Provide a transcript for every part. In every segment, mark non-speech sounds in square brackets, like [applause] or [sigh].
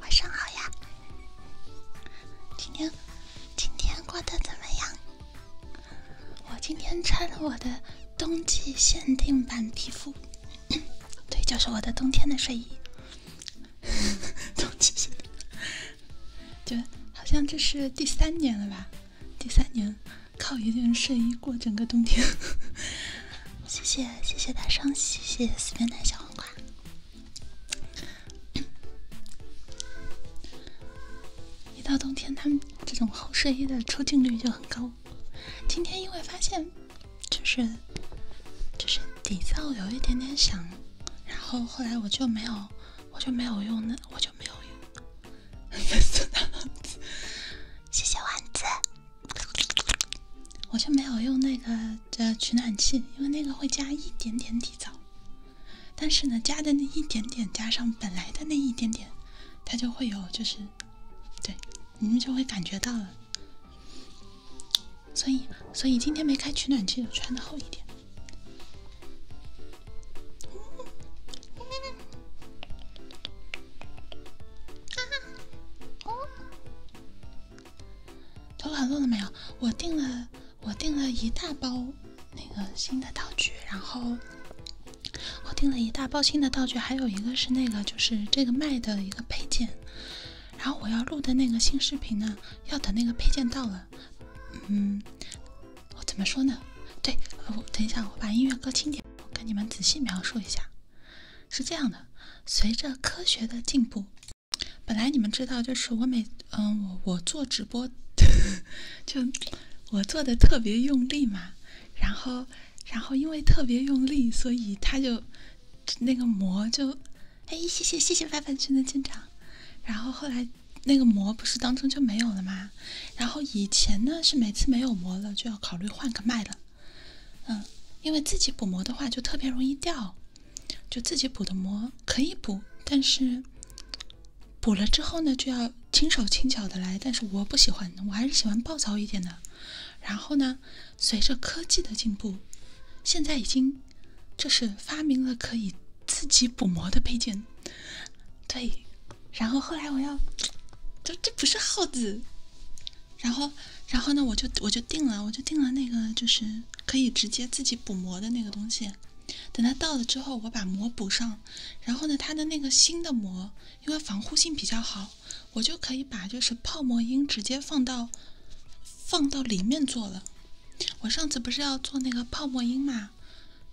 晚上好呀，今天今天过得怎么样？我今天穿了我的冬季限定版皮肤，[coughs] 对，就是我的冬天的睡衣。[laughs] 冬季限定，就好像这是第三年了吧？第三年靠一件睡衣过整个冬天。[laughs] 谢谢谢谢大双谢谢四面的小黄瓜。[coughs] 一到冬天，他们这种厚睡衣的出镜率就很高。今天因为发现，就是就是底噪有一点点响，然后后来我就没有，我就没有用那，我就没有用粉色丸子，谢谢丸子，我就没有用那个的取暖器，因为那个会加一点点底噪，但是呢，加的那一点点加上本来的那一点点，它就会有就是。对，你们就会感觉到了。所以，所以今天没开取暖器，就穿的厚一点。投稿录了没有？我订了，我订了一大包那个新的道具，然后。我订了一大包新的道具，还有一个是那个，就是这个卖的一个配件。然后我要录的那个新视频呢，要等那个配件到了。嗯，我怎么说呢？对，我等一下，我把音乐搁轻点，我跟你们仔细描述一下。是这样的，随着科学的进步，本来你们知道，就是我每嗯，我我做直播 [laughs] 就我做的特别用力嘛，然后。然后因为特别用力，所以它就那个膜就，哎，谢谢谢谢范范群的进场。然后后来那个膜不是当中就没有了吗？然后以前呢是每次没有膜了就要考虑换个麦了，嗯，因为自己补膜的话就特别容易掉，就自己补的膜可以补，但是补了之后呢就要。轻手轻脚的来，但是我不喜欢，我还是喜欢暴躁一点的。然后呢，随着科技的进步，现在已经就是发明了可以自己补膜的配件。对，然后后来我要，这这不是耗子。然后，然后呢，我就我就定了，我就定了那个就是可以直接自己补膜的那个东西。等它到了之后，我把膜补上。然后呢，它的那个新的膜。因为防护性比较好，我就可以把就是泡沫音直接放到放到里面做了。我上次不是要做那个泡沫音嘛，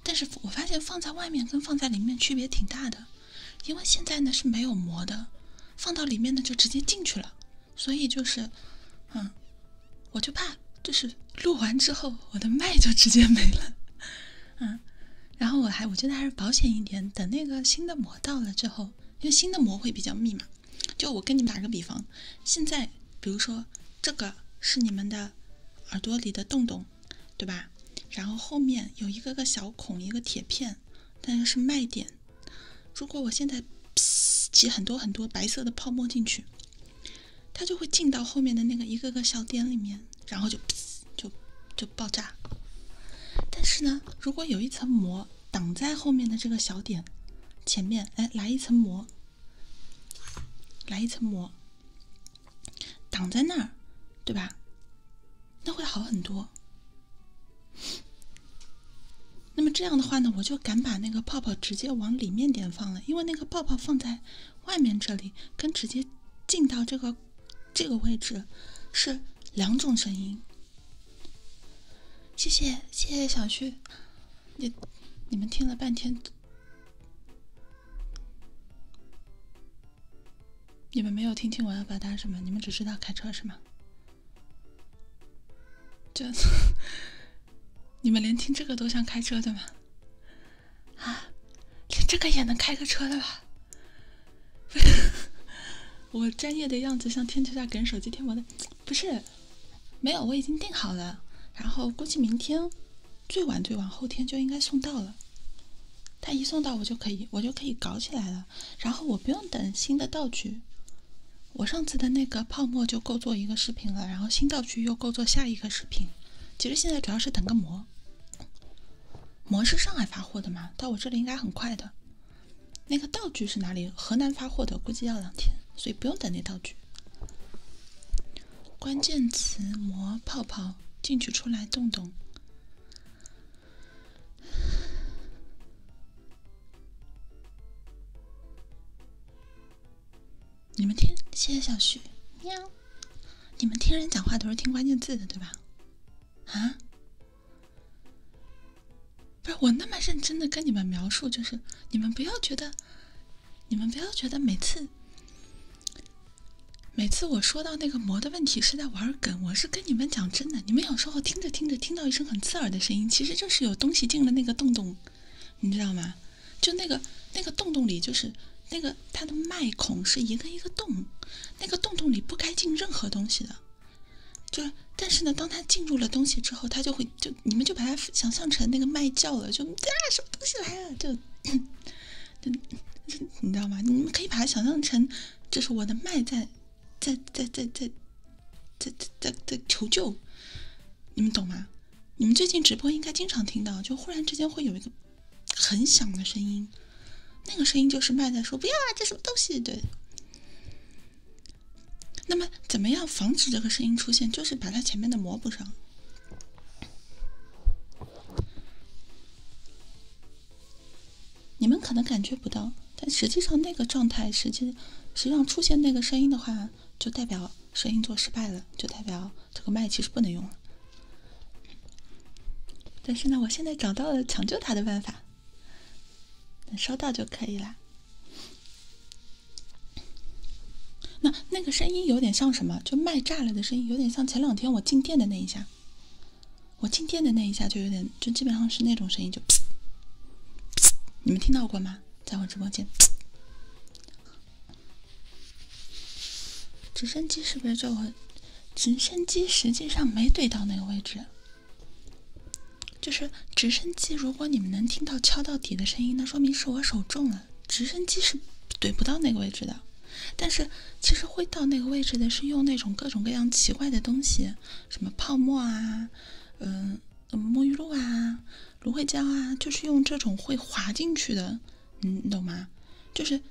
但是我发现放在外面跟放在里面区别挺大的。因为现在呢是没有膜的，放到里面呢就直接进去了，所以就是，嗯，我就怕就是录完之后我的麦就直接没了，[laughs] 嗯。然后我还我觉得还是保险一点，等那个新的膜到了之后，因为新的膜会比较密嘛。就我跟你们打个比方，现在比如说这个是你们的耳朵里的洞洞，对吧？然后后面有一个个小孔，一个铁片，那个是卖点。如果我现在挤很多很多白色的泡沫进去，它就会进到后面的那个一个个小点里面。然后就，就，就爆炸。但是呢，如果有一层膜挡在后面的这个小点前面，哎，来一层膜，来一层膜，挡在那儿，对吧？那会好很多。那么这样的话呢，我就敢把那个泡泡直接往里面点放了，因为那个泡泡放在外面这里，跟直接进到这个。这个位置是两种声音。谢谢谢谢小旭，你你们听了半天，你们没有听清我要表达什么，你们只知道开车是吗？这，[laughs] 你们连听这个都像开车的吗？啊，连这个也能开个车的吧？[laughs] 我专业的样子像天桥下给人手机贴膜的，不是，没有，我已经定好了，然后估计明天最晚最晚后天就应该送到了。他一送到我就可以，我就可以搞起来了。然后我不用等新的道具，我上次的那个泡沫就够做一个视频了，然后新道具又够做下一个视频。其实现在主要是等个膜。膜是上海发货的嘛，到我这里应该很快的。那个道具是哪里？河南发货的，估计要两天，所以不用等那道具。关键词膜泡泡进去出来动动。你们听，谢谢小徐。喵。你们听人讲话都是听关键字的，对吧？啊，不是我那么认真的跟你们描述，就是你们不要觉得，你们不要觉得每次，每次我说到那个魔的问题是在玩梗，我是跟你们讲真的。你们有时候听着听着听到一声很刺耳的声音，其实就是有东西进了那个洞洞，你知道吗？就那个那个洞洞里就是那个。它的麦孔是一个一个洞，那个洞洞里不该进任何东西的。就，但是呢，当它进入了东西之后，它就会就，你们就把它想象成那个麦叫了，就啊什么东西来了，就，就你知道吗？你们可以把它想象成，就是我的麦在，在在在在在在在求救，你们懂吗？你们最近直播应该经常听到，就忽然之间会有一个。很响的声音，那个声音就是麦在说“不要啊，这什么东西”。对。那么，怎么样防止这个声音出现？就是把它前面的膜补上。你们可能感觉不到，但实际上那个状态，实际实际上出现那个声音的话，就代表声音做失败了，就代表这个麦其实不能用了。但是呢，我现在找到了抢救他的办法，能收到就可以了。那那个声音有点像什么？就麦炸了的声音，有点像前两天我进店的那一下。我进店的那一下就有点，就基本上是那种声音，就，你们听到过吗？在我直播间，直升机是不是就？直升机实际上没怼到那个位置，就是直升机。如果你们能听到敲到底的声音，那说明是我手重了。直升机是怼不到那个位置的，但是其实会到那个位置的是用那种各种各样奇怪的东西，什么泡沫啊，嗯，沐浴露啊，芦荟胶啊，就是用这种会滑进去的，你懂吗？就是。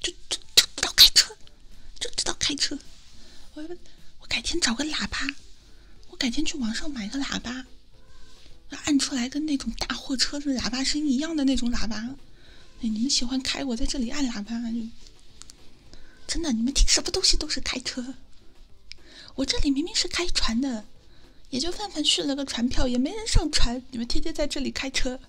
就就就知道开车，就知道开车。我我改天找个喇叭，我改天去网上买个喇叭，按出来跟那种大货车的喇叭声一样的那种喇叭。哎，你们喜欢开我在这里按喇叭就，真的，你们听什么东西都是开车。我这里明明是开船的，也就泛泛续了个船票，也没人上船。你们天天在这里开车。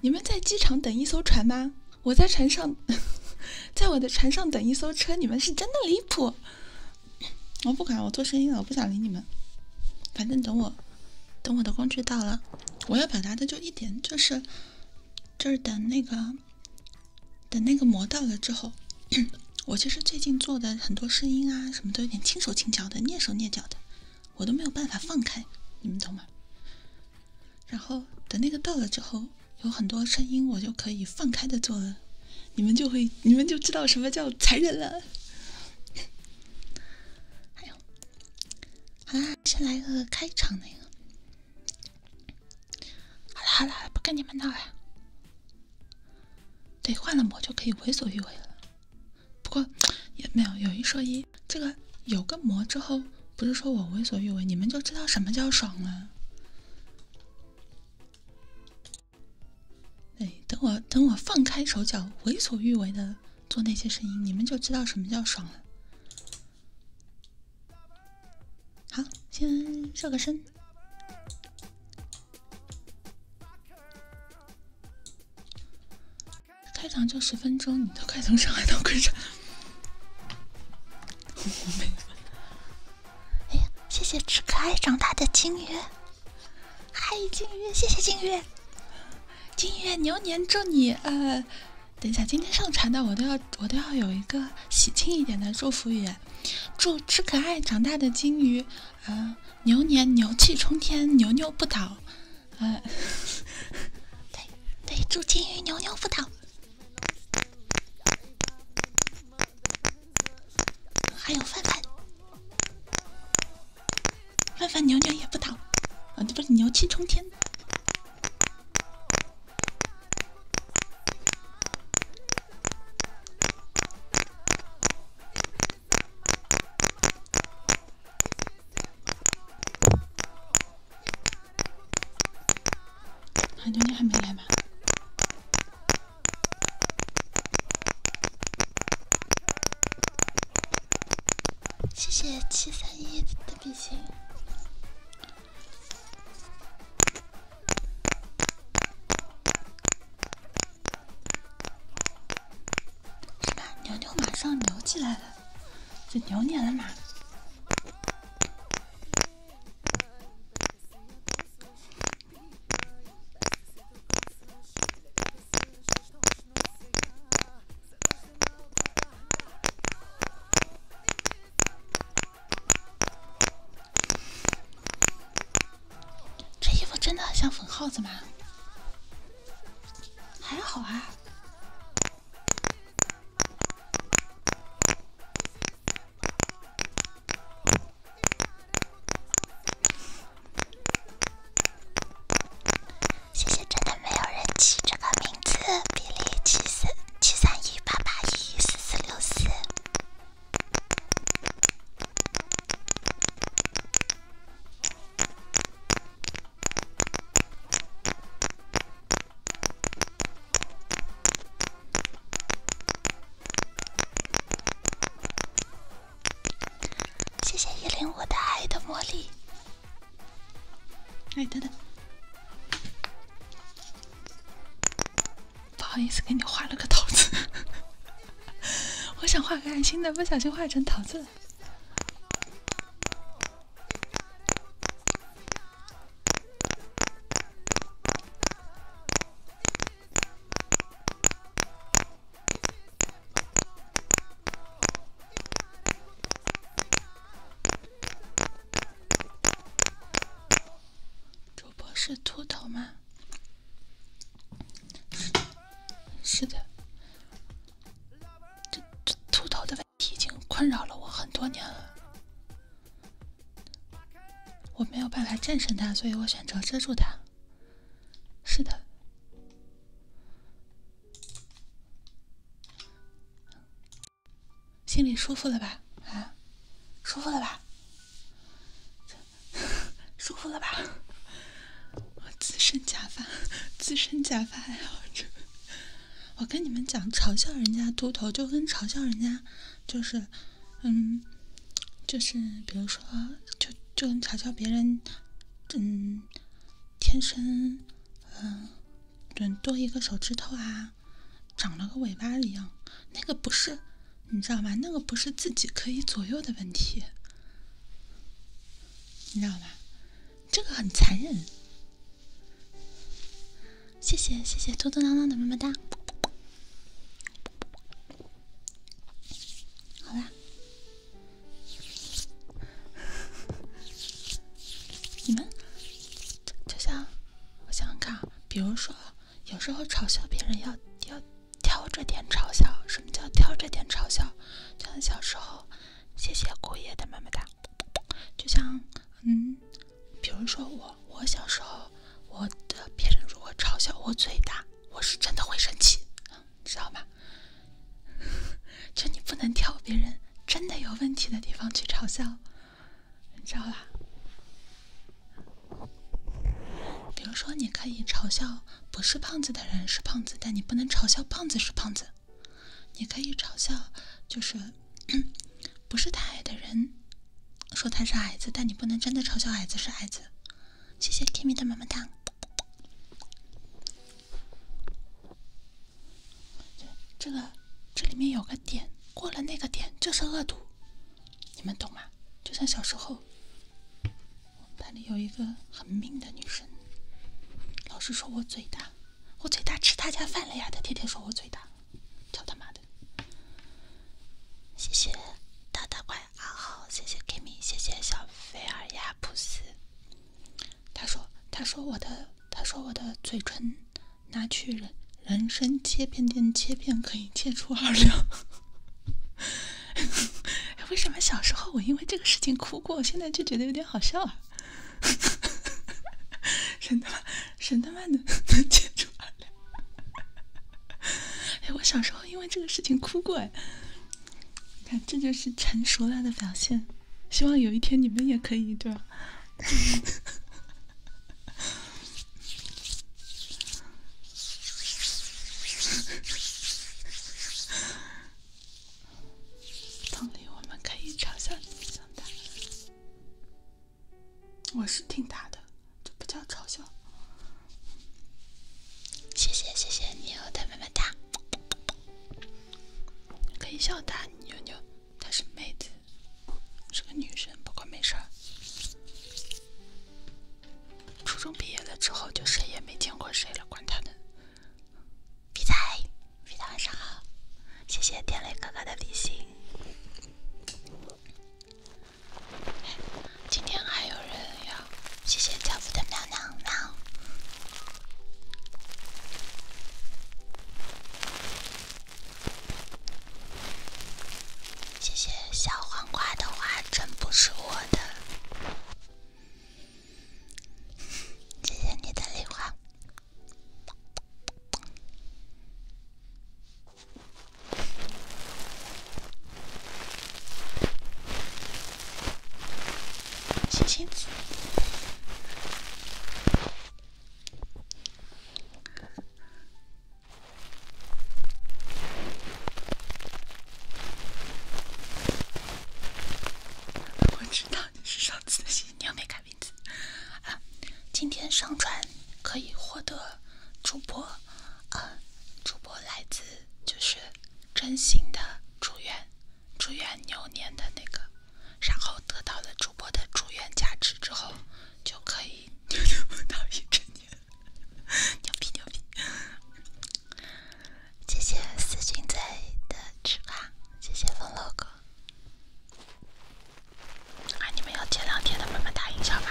你们在机场等一艘船吗？我在船上，[laughs] 在我的船上等一艘车。你们是真的离谱！我不管，我做生意了，我不想理你们。反正等我，等我的工具到了，我要表达的就一点，就是就是等那个，等那个魔到了之后，[coughs] 我其实最近做的很多声音啊什么都有点轻手轻脚的，蹑手蹑脚的。我都没有办法放开，你们懂吗？然后等那个到了之后，有很多声音，我就可以放开的做了。你们就会，你们就知道什么叫残忍了。还 [laughs] 有，好啦，先来个开场那个。好了好了，不跟你们闹了。对，换了模就可以为所欲为了。不过 [tsk] 也没有，有一说一，这个有个膜之后，不是说我为所欲为，你们就知道什么叫爽了。对，等我等我放开手脚，为所欲为的做那些声音，你们就知道什么叫爽了。好，先热个身。开场就十分钟，你都快从上海到昆山。我没事。哎呀，谢谢吃可爱长大的金鱼。嗨，金鱼，谢谢金鱼。金鱼，牛年祝你呃，等一下，今天上传的我都要我都要有一个喜庆一点的祝福语。祝吃可爱长大的金鱼，呃，牛年牛气冲天，牛牛不倒。嗯，对对，祝金鱼牛牛不倒，还有范范，范范牛牛也不倒，啊，这不是牛气冲天。韩牛，你还没来吗？谢谢七三一的比心。是吧？牛牛马上牛起来了，这牛年了嘛？这衣服真的很像粉耗子吗？还好啊。谢谢，真的没有人气这个名字，比利七三七三一八八一四四六四。谢谢一零我的爱的魔力。哎，等等，不好意思，给你画了个桃子。[laughs] 我想画个爱心的，不小心画成桃子。主播是秃头吗？是的，是的。这这秃头的问题已经困扰了我很多年了，我没有办法战胜它，所以我选择遮住它。是的，心里舒服了吧？啊，舒服了吧？[laughs] 舒服了吧？我自身假发，自身假发爱好者。我跟你们讲，嘲笑人家秃头就跟嘲笑人家，就是，嗯，就是比如说，就就跟嘲笑别人，嗯，天生，嗯，对，多一个手指头啊，长了个尾巴一样，那个不是，你知道吗？那个不是自己可以左右的问题，你知道吗？这个很残忍，谢谢谢谢嘟嘟囔囔的么么哒，好啦，你们就像我想想看啊，比如说有时候嘲笑别人要要挑着点嘲笑，什么叫挑着点嘲笑？就像小时候。谢谢姑爷的么么哒。就像，嗯，比如说我，我小时候，我的别人如果嘲笑我嘴大，我是真的会生气，知道吗？就你不能挑别人真的有问题的地方去嘲笑，知道啦？比如说，你可以嘲笑不是胖子的人是胖子，但你不能嘲笑胖子是胖子。你可以嘲笑，就是 [clears throat] 不是他爱的人，说他是矮子，但你不能真的嘲笑矮子是矮子。谢谢 i m i 的么么哒。这个这里面有个点，过了那个点就是恶毒，你们懂吗？就像小时候，我们班里有一个很命的女生，老是说我嘴大。我嘴大吃他家饭了呀！他天天说我嘴大，操他妈的！谢谢大大怪阿浩，谢谢 Kimi，谢谢小菲尔亚普斯。他说，他说我的，他说我的嘴唇拿去人人参切片店切片，可以切出二两。[laughs] 为什么小时候我因为这个事情哭过，现在就觉得有点好笑啊？[laughs] 神他妈，神他妈的能接住哎，我小时候因为这个事情哭过哎。你看，这就是成熟了的表现。希望有一天你们也可以，对吧？[laughs] 同理，我们可以嘲笑你，想打？我是挺他的，这不叫嘲笑。谢谢，谢谢你，我的么么哒。可以笑他，妞妞，她是妹子，是个女生，不过没事儿。初中毕业了之后，就谁也没见过谁了，管他呢。比仔，比仔，晚上好！谢谢天雷哥哥的礼星。今天还有人要，谢谢教父的喵喵喵。谢谢小黄瓜的花，真不是我的。[laughs] 谢谢你的礼花。我知道你是上次的星星，你又没看。名字啊，今天上传可以获得主播，呃，主播来自就是真心的祝愿，祝愿牛年的那个，然后得到了主播的祝愿加持之后，就可以牛牛 [laughs] 牛逼真牛，牛逼牛逼！谢谢思君在的祝福，谢谢风楼哥。哎，你们要前两天的慢慢打印响吗？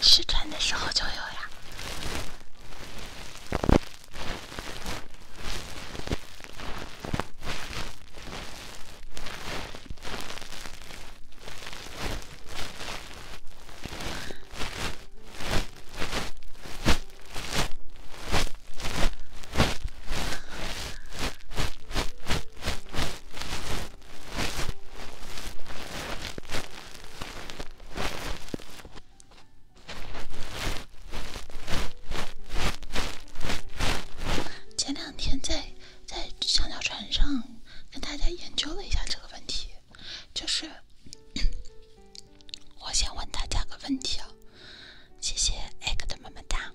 失传的时候就有呀。前两天在在香蕉船上跟大家研究了一下这个问题。就是，我先问大家个问题哦，谢谢艾克的么么哒，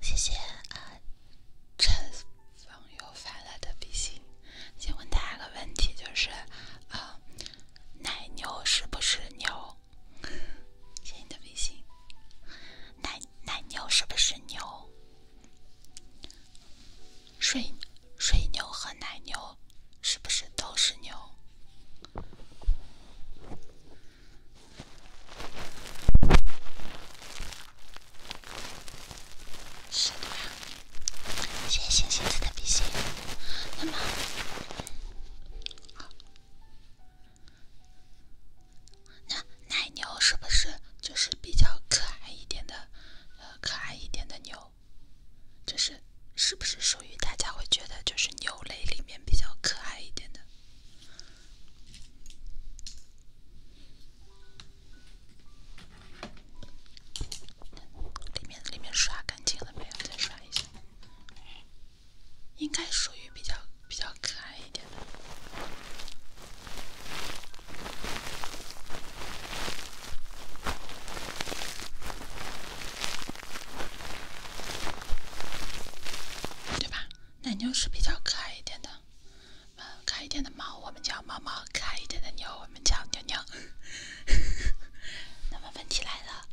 谢谢呃陈方友发来的微信。先问大家个问题，就是啊，奶牛是不是牛？谢谢你的微信。奶奶牛是不是牛？水水牛和奶牛是不是都是牛？是的呀，谢谢星星的比心。那么，那奶牛是不是就是比较可爱一点的？呃，可爱一点的牛。这是是不是属于大家会觉得就是牛类里面比较可爱一点的？里面里面刷干净了没有？再刷一下，应该属于比较比较可爱一点的。对吧？奶牛是比较可爱一点的，嗯，可爱一点的猫我们叫猫猫，可爱一点的牛我们叫牛牛。[laughs] 那么问题来了，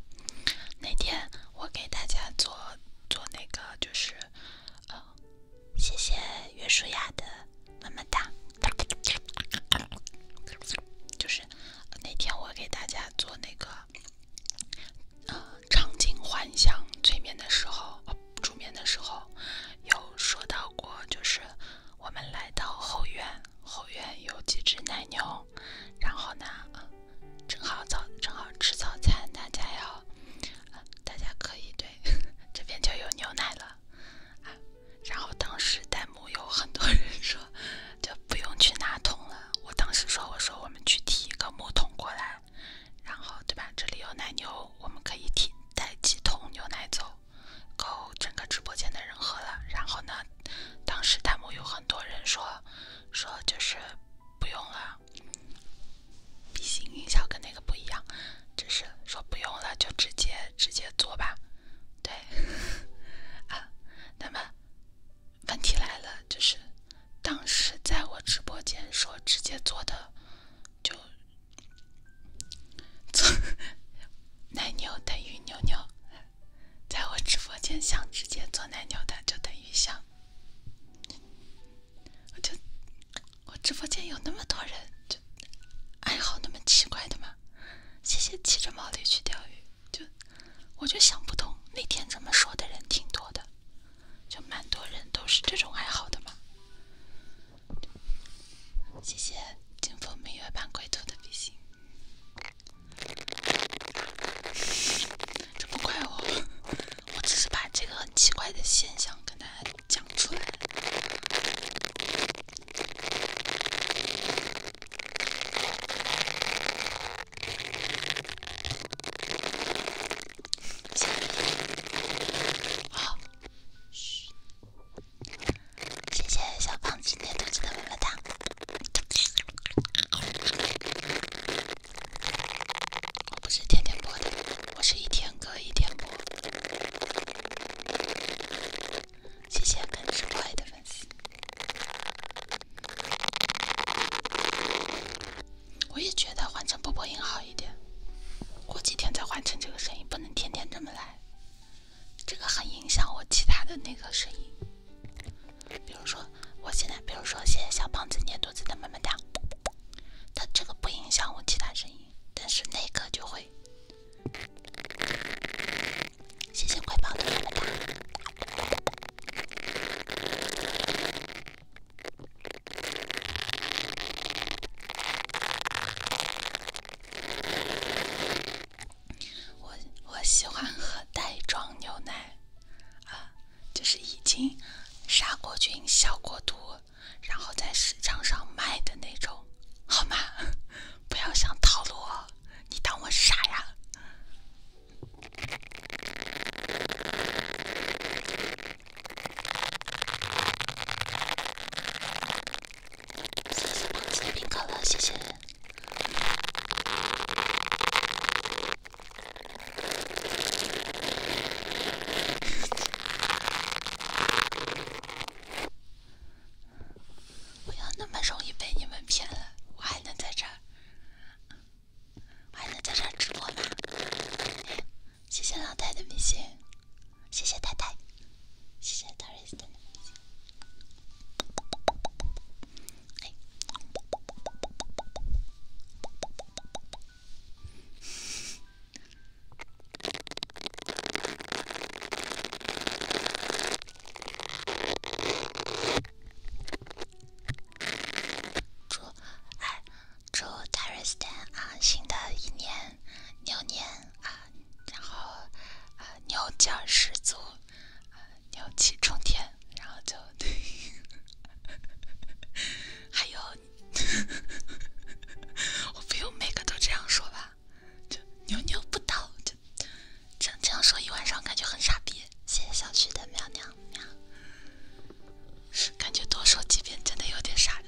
那天我给大家做做那个，就是，呃，谢谢袁舒雅的。么么哒，就是那天我给大家做那个呃场景幻想催眠的时候，哦，助眠的时候有说到过，就是我们来到后院，后院有几只奶牛，然后呢，正好早正好吃早餐，大家要大家可以对 [laughs] 这边就有牛奶了啊。然后当时弹幕有很多人说，就不用去拿桶了。我当时说，我说我们去提一个木桶过来，然后对吧？这里有奶牛，我们可以提带几桶牛奶走，够整个直播间的人喝了。然后呢，当时弹幕有很多人说，说就是不用了，比心音效跟那个不一样，只是说不用了，就直接直接做吧。对，[laughs] 啊，那么问题来了，就是当时在我直播间说直接做的，就做 [laughs] 奶牛等于牛牛，在我直播间想直接做奶牛的就等于想，我就我直播间有那么多人就。爱好那么奇怪的吗？谢谢骑着毛驴去钓鱼，就我就想不通，那天这么说的人挺多的，就蛮多人都是这种爱好的嘛。谢谢金风明月伴归途的比心，这么快哦？我只是把这个很奇怪的现象跟大家讲出来。好，嘘。谢谢小胖今天投出的么么糖。我不是天天播的，我是一天隔一天播。谢谢肯吃乖的粉丝。我也觉得换成波波音好一点，过几天再换成这个声音，不能天天这么来，这个很影响我其他的那个声音。比如说我现在，比如说现在小胖子捏肚子的么么哒，它这个不影响我其他声音，但是那个就会。谢谢乖宝的问答。我我喜欢喝袋装牛奶，啊，就是已经杀过菌、消过毒，然后在市场上卖的那种，好吗？不要想套路我，你当我傻呀？谢谢王子冰可乐，谢谢。不要那么容易被你们骗了，我还能在这儿，还能在这儿直播吗？谢谢老太的明星，谢谢太太，谢谢 Doris 的明星。祝啊，祝大家啊，新的一年牛年啊，然后啊，牛劲十足，牛气冲天，然后就对。[laughs] 还有，[laughs] 我不用每个都这样说吧。就牛牛不倒，就这这样说一晚上，感觉很傻逼。谢谢小徐的喵喵喵，感觉多说几遍真的有点傻。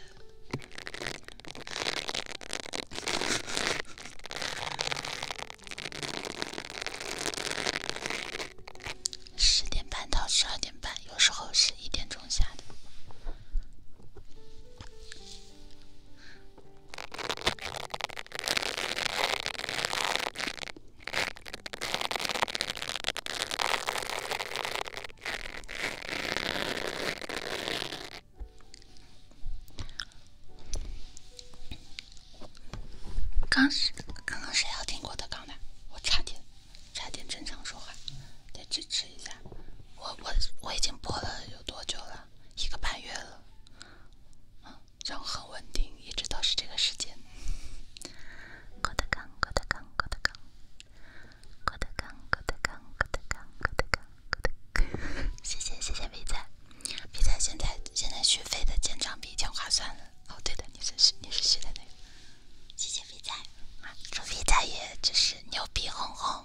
十点半到十二点半，有时候是一点钟下的。刚是刚刚谁要听郭德纲的？我差点差点正常说话，得支持一下。我我我已经播了有多久了？一个半月了。嗯，然后很稳定，一直都是这个时间。郭德纲，郭德纲，郭德纲，郭德纲，郭德纲，郭德纲，郭德纲，郭德纲，郭德纲。谢谢谢谢肥仔，肥仔现在现在续费的签唱比以前划算了。哦对的，你是续你是续的那个，谢谢肥仔祝肥仔也只是牛逼哄哄。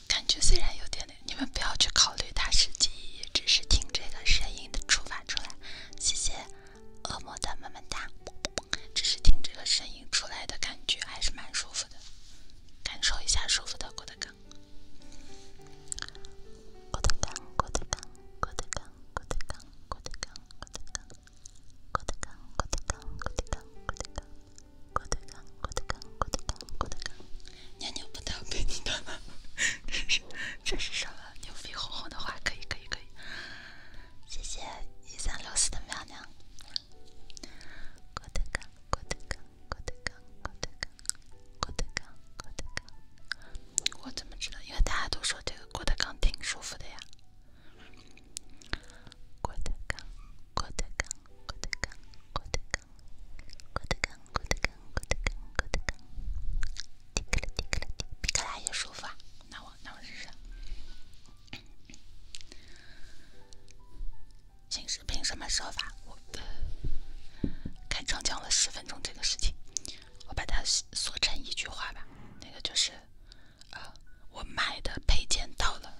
感觉虽然有点累，你们不要去考虑它实际意义，只是听这个声音的触发出来。谢谢恶魔的么么哒，只是听这个声音出来的感觉还是蛮舒服的，感受一下舒服的郭德纲。郭德纲，郭德纲，郭德纲，郭德纲，郭德纲，郭德纲，郭德纲，郭德纲，郭德纲，郭德纲。郭德纲，郭德纲，郭德纲，郭德纲，娘娘不逗比你逗吗？这是这是什么牛逼哄哄的话？可以可以可以！谢谢一三六四的娘娘。郭德纲，郭德纲，郭德纲，郭德纲，郭德纲，郭德纲。我怎么知道？因为大家都说这个郭德纲挺舒服的呀。郭德纲。郭德纲，郭德纲，郭德纲，郭德纲，郭德纲，郭德纲，郭德纲，提起来提起来提个来也舒服啊！那我那我试试。新视频什么说法？我的开场讲了十分钟这个事情，我把它缩成一句话吧。那个就是，呃，我买的配件到了。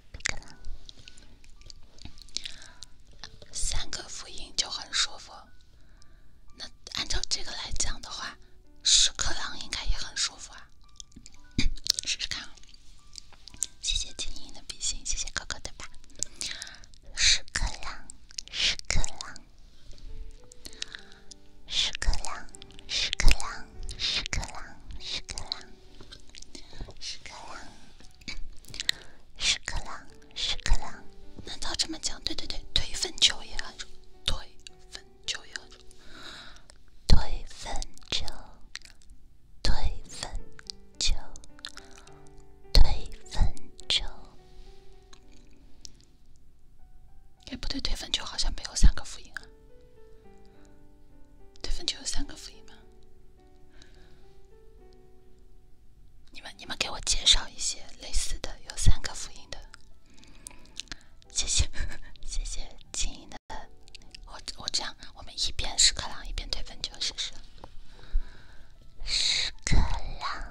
三个辅音就很舒服，那按照这个来讲的话，屎壳郎应该也很舒服啊，[coughs] 试试看。谢谢金鹰的比心，谢谢哥哥对吧？屎壳郎，屎壳郎，屎壳郎，屎壳郎，屎壳郎，屎壳郎。屎壳郎，屎壳郎，屎壳郎。难道这么讲？对对对，推粪球也很重。推粪球也很重。推粪球，推粪球，推粪球。哎，不对，推粪球好像没有三个辅音啊。推粪球有三个辅音吗？你们你们给我介绍一些类似的有三个福音的，谢谢 [laughs] 谢谢静音的，我我这样我们一边屎壳郎一边推分球试试，屎壳郎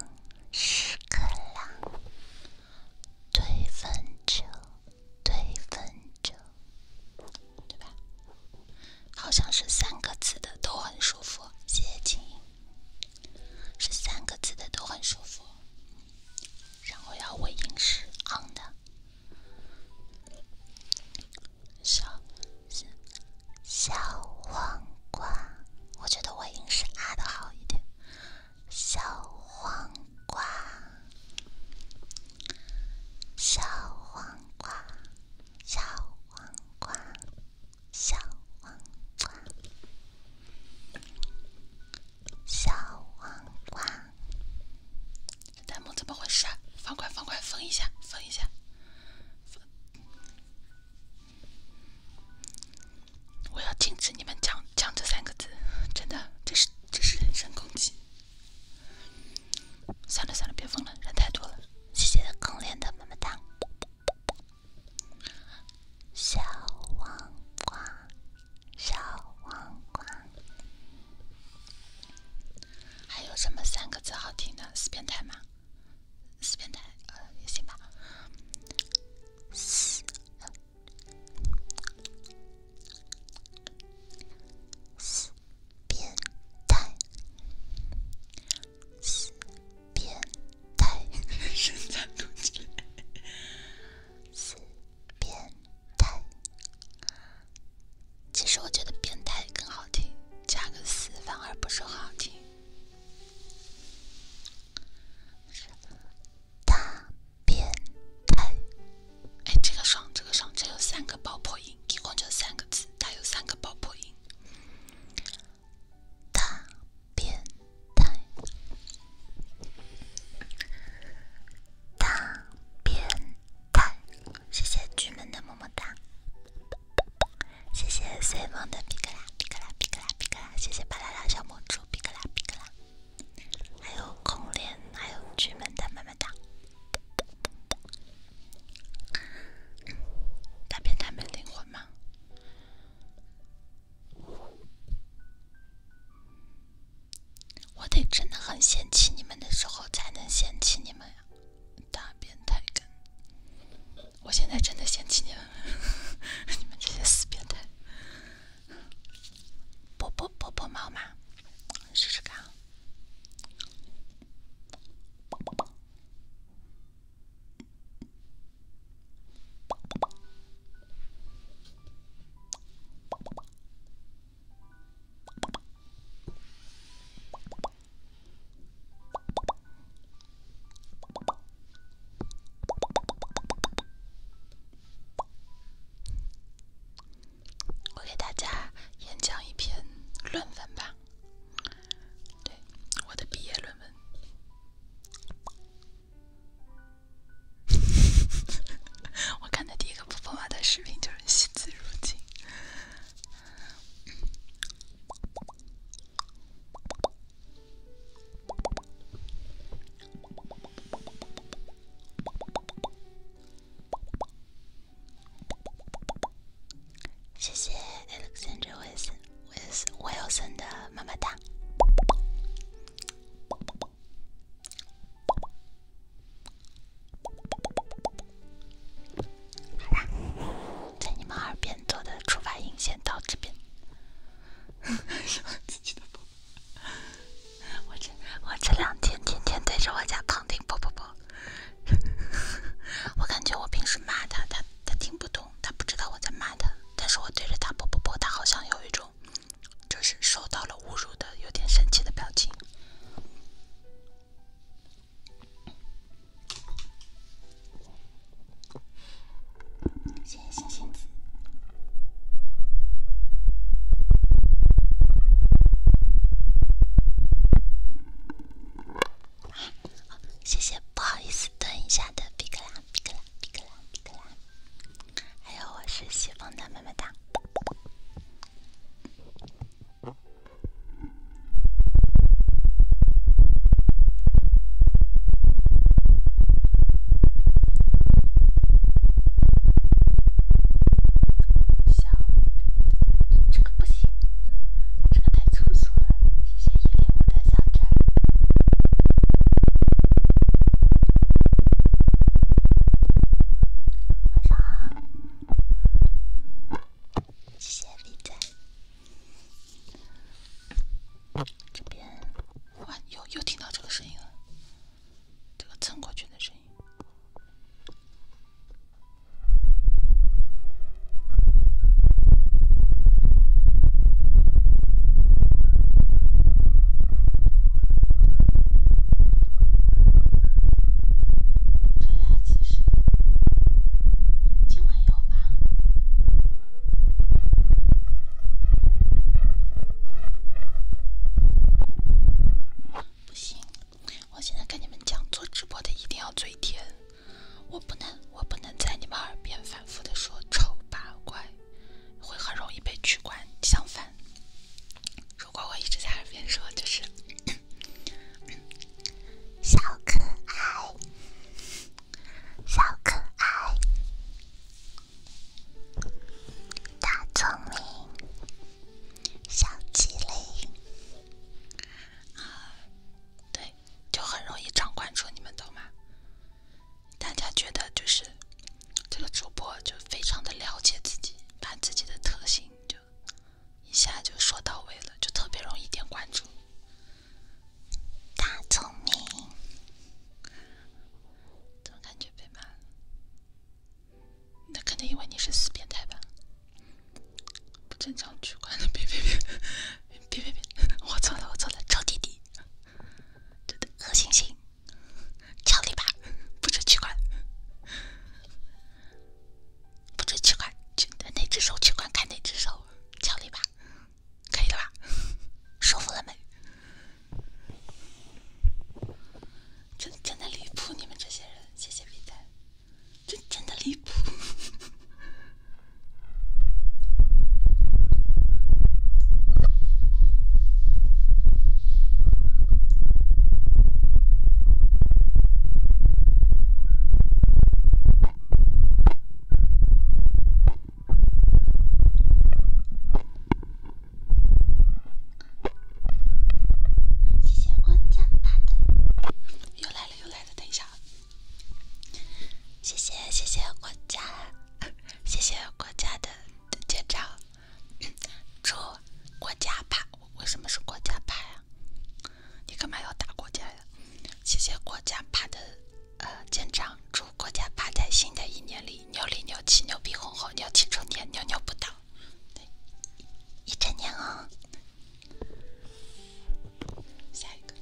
屎壳郎推分酒推分酒。对吧？好像是三个字的都很舒服。谢谢晶莹，是三个字的都很舒服。然后要尾音是昂的，小，小黄瓜。我觉得尾音是啊的好一点。小黄瓜，小黄瓜。小黄瓜，小黄瓜，小黄瓜。弹幕怎么回事？啊？方块方块封一下，封一下！我要禁止你们讲讲这三个字，真的，这是这是人身攻击。算了算了，别封了，人太多了。谢谢空莲的么么哒，小黄瓜，小黄瓜，还有什么三个字好听的？死变态吗？死变态，呃，也行吧。死。变态，死变态，身材多贱，死变态。其实我觉得“变态”更好听，加个“死”反而不是很好听。大变态，哎，这个爽，这个爽，这有三个爆破音，一共就三个字，它有三个爆破音。大变态！大变态！谢谢居门的么么哒，谢谢 C 方的皮可拉，皮可拉，皮可拉，皮可拉！谢谢巴啦啦小魔珠皮可拉，皮可拉，还有空莲，还有居门的么么哒。大变态没灵魂吗？我得真的很嫌弃你们的时候才能嫌弃你们呀，大变态我现在真的嫌弃你们，[laughs] 你们这些死变态。波波波波猫吗？试试看。我给大家演讲一篇论文吧。对，我的毕业论文。[laughs] 我看的第一个布布娃的视频就是惜字如金。谢谢 Alexander Wilson Wilson 的妈妈蛋。在你们耳边做的触发音先到这边。[laughs] 我这我这两天天天对着我家胖丁啵啵啵。[laughs] 我感觉我平时骂他，他他听不懂，他不知道我在骂他。但是我对着他啵啵啵，他好像有一种就是受到了侮辱的有点生气的表情。谢谢星星子。谢谢，不好意思蹲一下的比克拉、比克拉、比克拉、比克拉。还有我是西风的妈妈哒。小不行，这个太粗俗了。谢谢依恋我的小铲，晚上好，谢谢点赞。这边，哇，又又听到这个声音了，这个蹭过去的声音。脱牙器是今晚有吧？不行，我现在跟你们讲，做直播的一定要嘴甜。我不能，我不能在你们耳边反复的说“丑八怪”，会很容易被取关。相反，如果我一直在耳边说，就是 [coughs] “小可爱，小可爱，大聪明，小机灵”，啊，对。就很容易涨关注，你们懂吗？大家觉得就是这个主播就非常的了解自己，把自己的特性就一下就说到位了，就特别容易点关注。大聪明，怎么感觉被骂了？那肯定因为你是死变态吧。不正常取关的，别别别，别别别，我错了，我错了，臭弟弟，真的恶心心，敲你一不准取关，不准取关，真的哪只手取关，看哪只手，敲你一可以了吧？舒服了没？真真的离谱，你们这些人，谢谢理赞。真的离谱！谢谢大又来了又来了，等一下。谢谢谢谢国家，谢谢国家的舰长，祝国家怕。为什么是国家怕呀？你干嘛要打国家呀？谢谢国家怕的呃舰长，祝国家怕在新的一年里牛里牛气，牛逼哄哄，牛气冲天，牛牛不倒，一整年哦。下一个。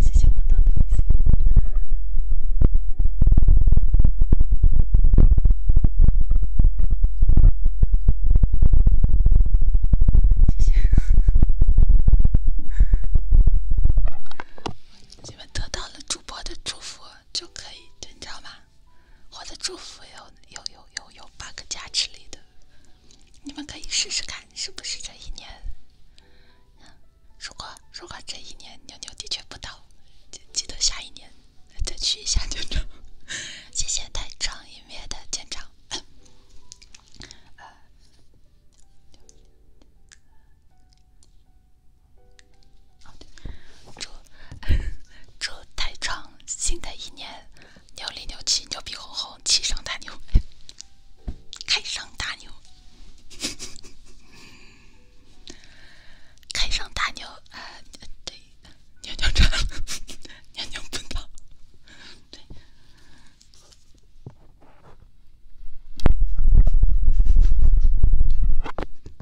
谢谢我党的谢谢。[laughs] 你们得到了主播的祝福。就可以，你知道吗？我的祝福有有有有有八个加持力的，你们可以试试看是不是这一年。如果如果这一年牛牛的确不到，就记得下一年再去一下，院 [laughs] 长。谢谢太创音乐的建长。这这太长！新的一年，牛里牛气，牛皮哄哄，气上大牛，开上大牛，开上大牛啊！对，牛牛长，牛牛奔跑，对。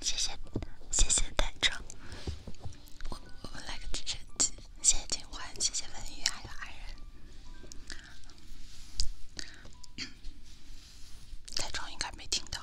谢谢，谢谢太壮，我我们来个直升机。谢谢金欢，谢谢文宇，还有爱人。太壮应该没听到。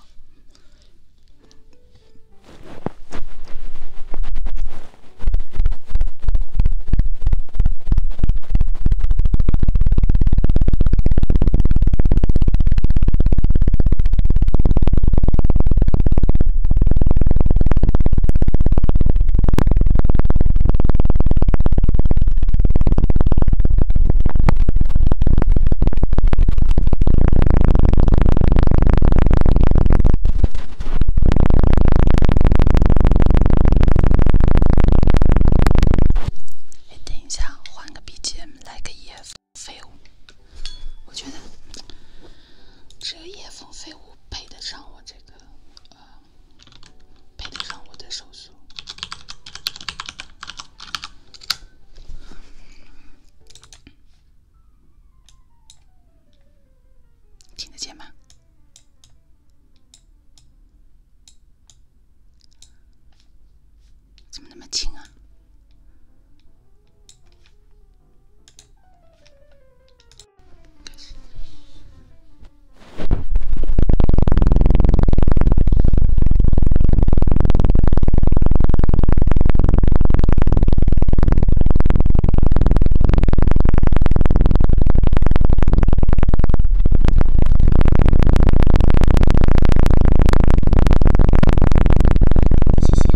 哎，等一下，换个 B G M，来个 y E s 废物。我觉得这个夜风飞舞配得上我这个呃，配得上我的手速，听得见吗？怎么那么轻啊？谢谢。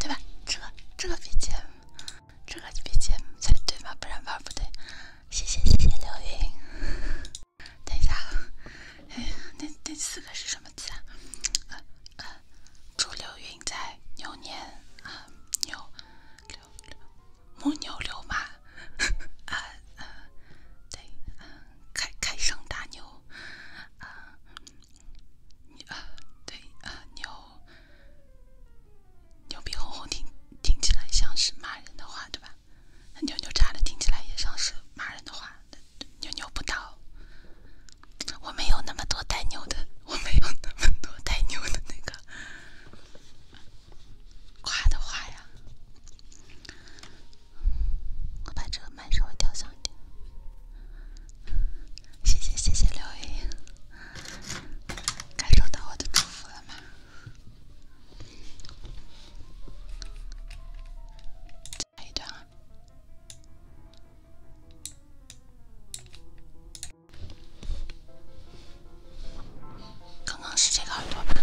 对吧？这个这个 BGM，这个 BGM 才对嘛，不然玩不对。谢谢谢谢刘云。等一下，哎呀，那这四个是什么字啊？祝刘云在牛年啊牛牛牛牛牛牛啊啊，对啊，开开上大牛啊，啊对啊，牛牛逼哄哄，听听起来像是骂人的话，对吧？牛牛叉的，听起来也像是骂人的话。牛牛不倒，我没有那么多带牛的，我没有那么多带牛的那个夸的话呀。我把这个麦稍微调小一点，谢谢谢谢刘莹莹感受到我的祝福了吗？来一段刚刚是这个耳朵。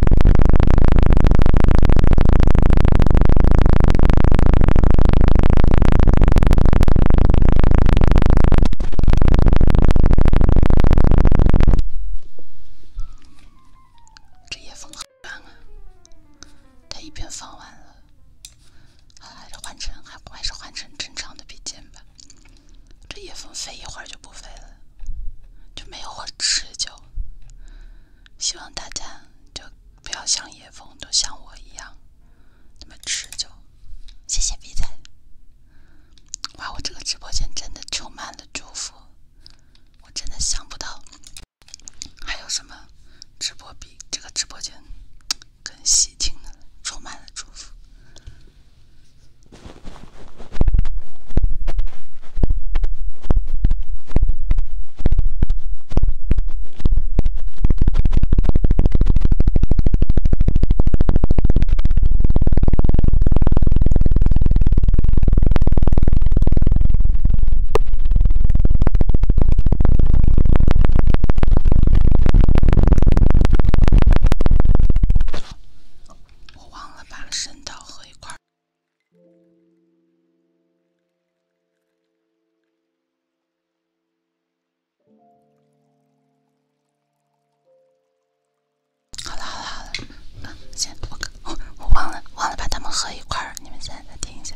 这夜风好短啊！它一边放完了，还是换成还还是换成正常的笔尖吧。这夜风飞一会儿就不飞了，就没有持久。希望大家就。不要像野风，都像我一样那么持久。谢谢币仔，哇！我这个直播间真的充满了祝福，我真的想不到还有什么直播比这个直播间更喜庆的，充满了祝福。我忘了把声道合一块好了好了好了，先多个，我我忘了忘了把它们合一块儿，你们现在再听一下。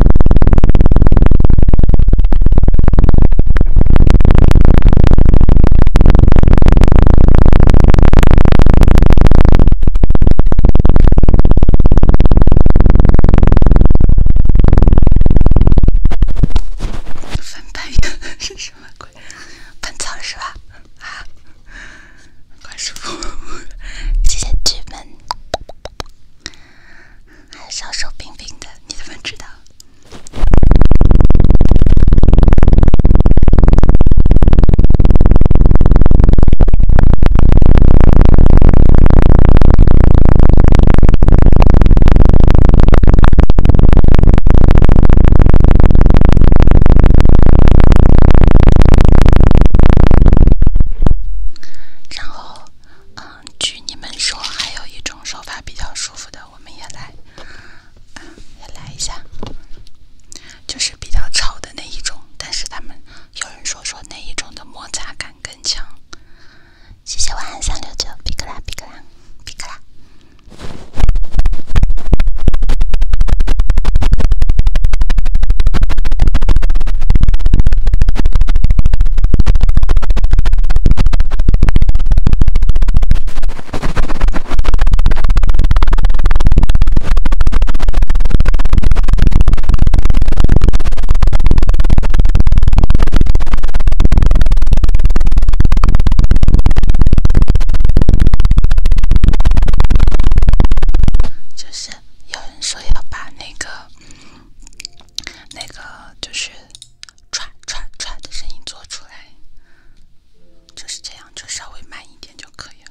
师傅，谢谢剧门。还小手冰冰的，你怎么知道？然后，嗯，据你们说，还有一种手法比较舒服的，我们也来，也来一下，就是比较吵的那一种，但是他们有人说说那一种的摩擦感更强。谢谢晚安三六九皮克拉皮克拉皮克拉。就是有人说要把那个。那个就是唰唰唰的声音做出来，就是这样，就稍微慢一点就可以了。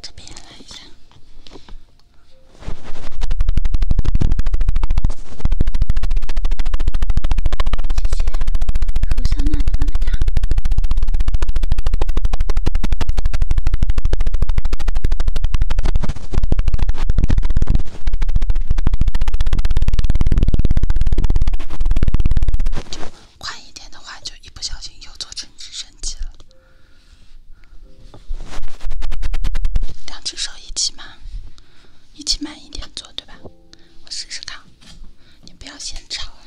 这边也来一下，谢谢，何小娜的外卖单。就快一点的话，就一不小心又做成直升机了。两只手一起嘛，一起慢一点做对吧？我试试看。你不要嫌吵啊。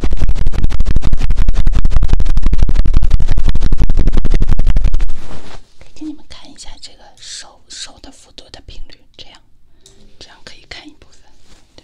可以给你们看一下这个手手的辅佐的频率，这样，这样可以看一部分，对。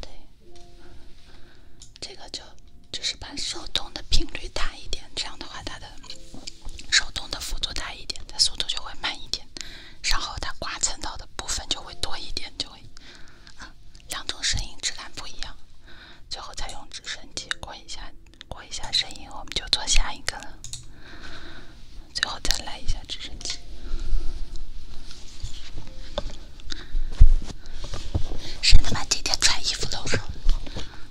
对，这个就就是把手动的频率大一点，这样的话它。的手动的幅度大一点，它速度就会慢一点，然后它刮蹭到的部分就会多一点，就会啊、两种声音质感不一样。最后再用直升机过一下，过一下声音，我们就做下一个了。最后再来一下直升机。是他妈今天穿衣服都少，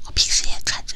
我平时也穿着。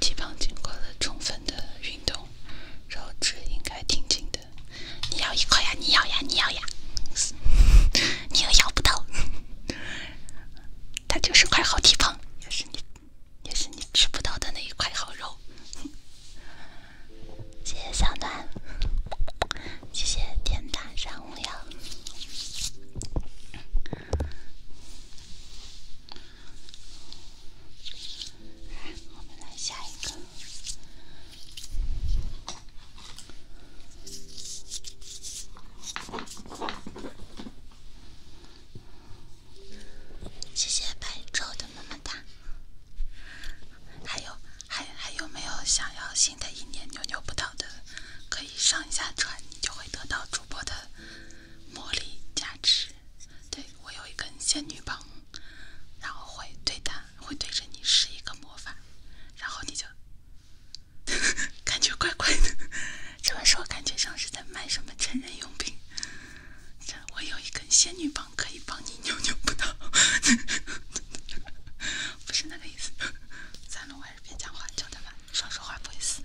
体胖经过了充分的。运动，肉质应该挺紧的。你咬一块呀，你咬呀，你咬呀，[laughs] 你又咬不到。[laughs] 它就是块好地方，也是你，也是你吃不到的那一块好肉。[laughs] 谢谢小暖，谢谢天大山无恙。我们来下一个。谢谢白昼的么么哒。还有，还还有没有想要新的一年牛牛不倒的？可以上一下船，你就会得到主播的。魔力加持，对我有一根仙女棒，然后会对它，会对着你施一个魔法，然后你就 [laughs] 感觉怪怪的。这么说感觉像是在卖什么成人用品。我有一根仙女棒，可以帮你扭扭不到。[laughs] 不是那个意思。算了，我还是别讲话，讲他吧。说说话不会死。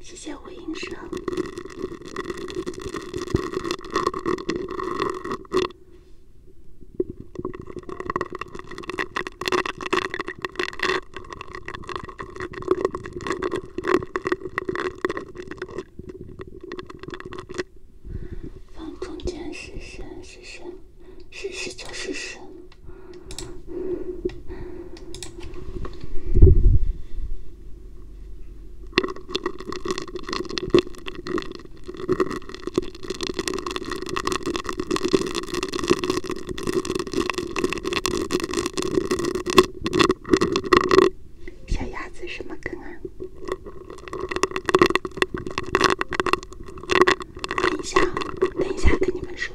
谢谢吴应生。放中间是神是神，是神就是神。小鸭子什么梗啊？等一下，等一下跟你们说。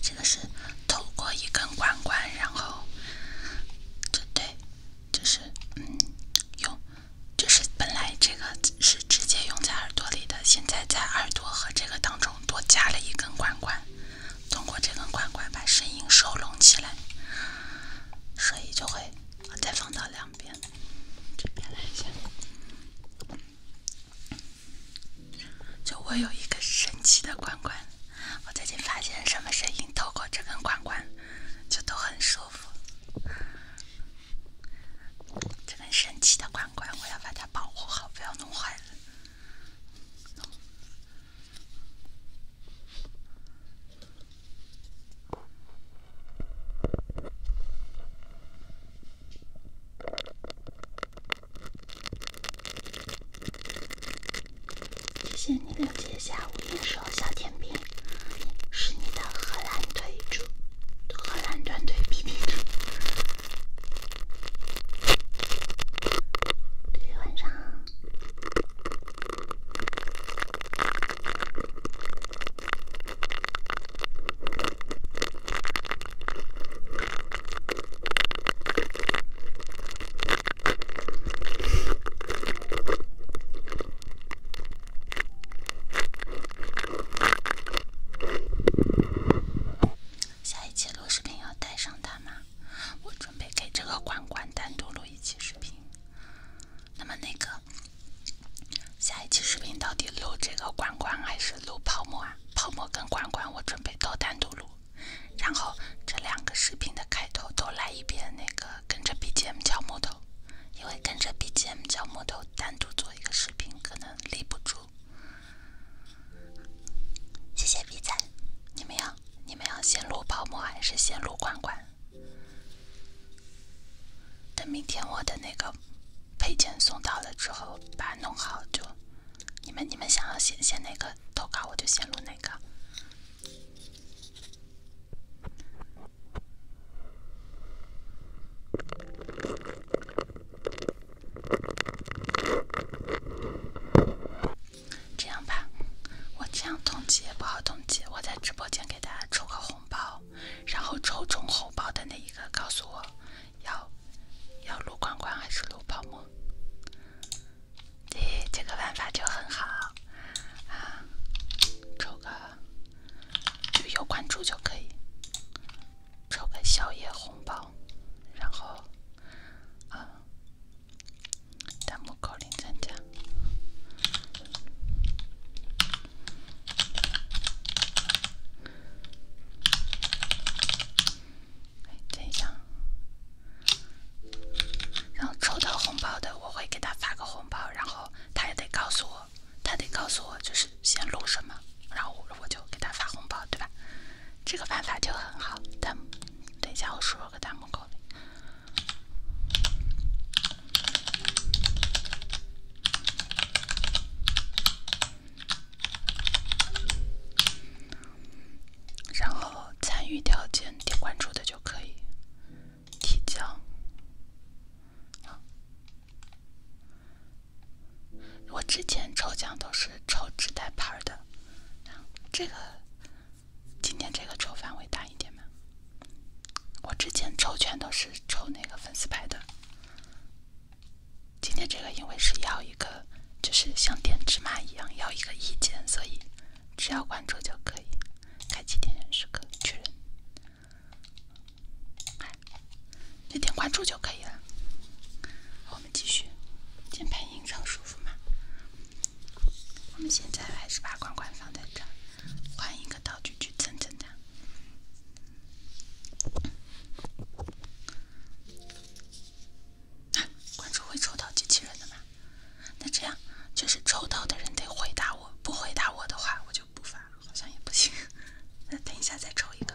这个是透过一根管管，然后，就对，就是嗯，用，就是本来这个是直接用在耳朵里的，现在在耳朵和这个当中多加了一根管管，通过这根管管把声音收拢起来，所以就会再放到两边，这边来下。就我有一个神奇的管管，我最近发现什么声音透过这根管管就都很舒服。这根神奇的管管，我要把它保护好，不要弄坏了。谢谢你了解下午夜候小甜边，是你的荷兰腿主，荷兰短腿皮皮图，对晚上。下一期录视频要带上它吗？我准备给这个罐罐单独录一期视频。那么那个下一期视频到底录这个罐罐还是录泡沫啊？泡沫跟罐罐我准备都单独录。然后这两个视频的开头都来一遍那个跟着 BGM 敲木头，因为跟着 BGM 敲木头单独做一个视频可能立不住。谢谢 B 仔，你们要你们要先录泡沫还是先录罐罐？等明天我的那个配件送到了之后，把它弄好就，你们你们想要先先哪个投稿我就先录哪。这样吧，我这样统计也不好统计。我在直播间给大家抽个红包，然后抽中红包的那一个，告诉我要要录关关还是录泡沫。对，这个玩法就很好，啊，抽个就有关注就可以，抽个宵夜红包，然后，啊，弹幕扣零参加。等一下，然后抽到红包的，我会给他发个红包，然后他也得告诉我，他得告诉我就是先录什么，然后我我就给他发红包，对吧？这个办法就很好。但等一下，我输入个弹幕口令。然后参与条件点关注的就可以提交。我之前抽奖都是抽纸袋牌的，这个今天这个抽范围大一点嘛。我之前抽全都是抽那个粉丝牌的，今天这个因为是要一个。就是像点芝麻一样要一个意见，所以只要关注就可以开启点人时刻确认，就点关注就可以了。我们继续，键盘音上舒服吗？我们现在还是把关关放在这儿，换一个道具去蹭蹭它。啊，关注会抽到机器人的吗？那这样，就是抽到的人得回答我，不回答我的话，我就不发，了，好像也不行。[laughs] 那等一下再抽一个。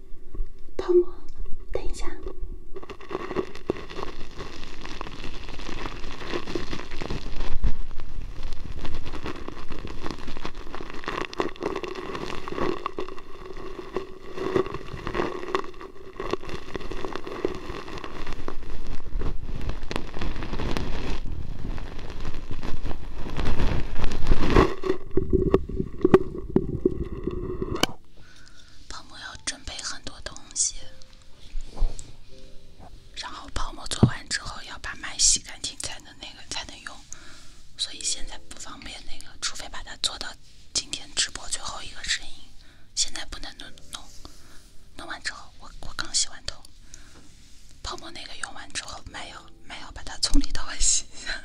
泡沫，等一下。泡沫要准备很多东西，然后泡沫做完之后要把麦洗干净才能那个才能用，所以现在不方便那个，除非把它做到今天直播最后一个声音，现在不能弄弄。弄完之后，我我刚洗完头，泡沫那个用完之后，麦要麦要把它从里到外洗一下。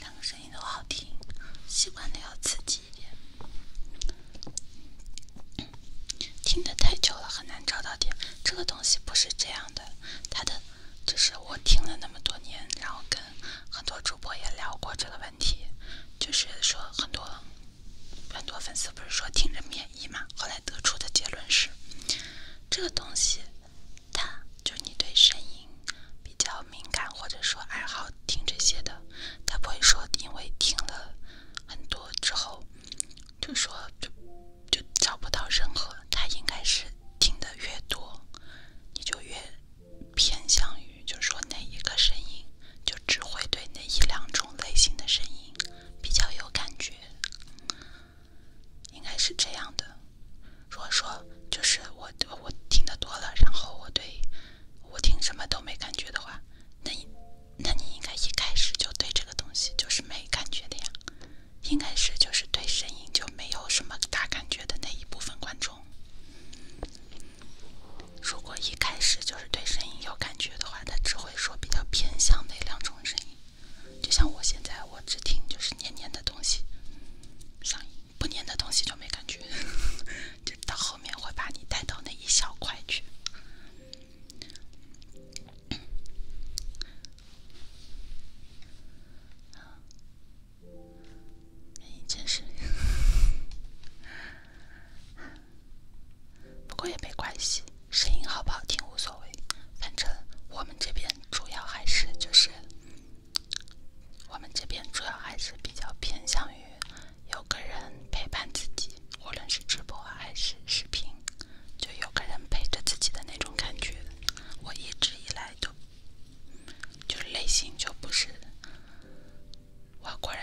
两个声音都好听，喜欢的要刺激一点。听得太久了很难找到点，这个东西不是这样的。他的就是我听了那么多年，然后跟很多主播也聊过这个问题，就是说很多。很多粉丝不是说听着免疫嘛？后来得出的结论是，这个东西，它就你对声音比较敏感，或者说爱好听这些的，他不会说因为听了很多之后，就说就就找不到任何。他应该是听得越多，你就越偏向于，就说哪一个声音，就只会对那一两种类型的声音。比较有感觉，应该是这样的。如果说就是我我听的多了，然后我对，我听什么都没感觉的话，那，那你应该一开始就对这个东西就是没感觉的呀。应该是就是对声音就没有什么大感觉的那一部分观众。如果一开始就是对声音有感觉的话，那只会。会说比较偏向那两种声音，就像我现在，我只听就是黏黏的东西，声音不黏的东西就没感觉，[laughs] 就到后面会把你带到那一小块去。哎，真一件事不过也没关系，声音好不好听无所谓。反正我们这边主要还是就是，我们这边主要还是比较偏向于有个人陪伴自己，无论是直播还是视频，就有个人陪着自己的那种感觉。我一直以来都就内心就不是外国人。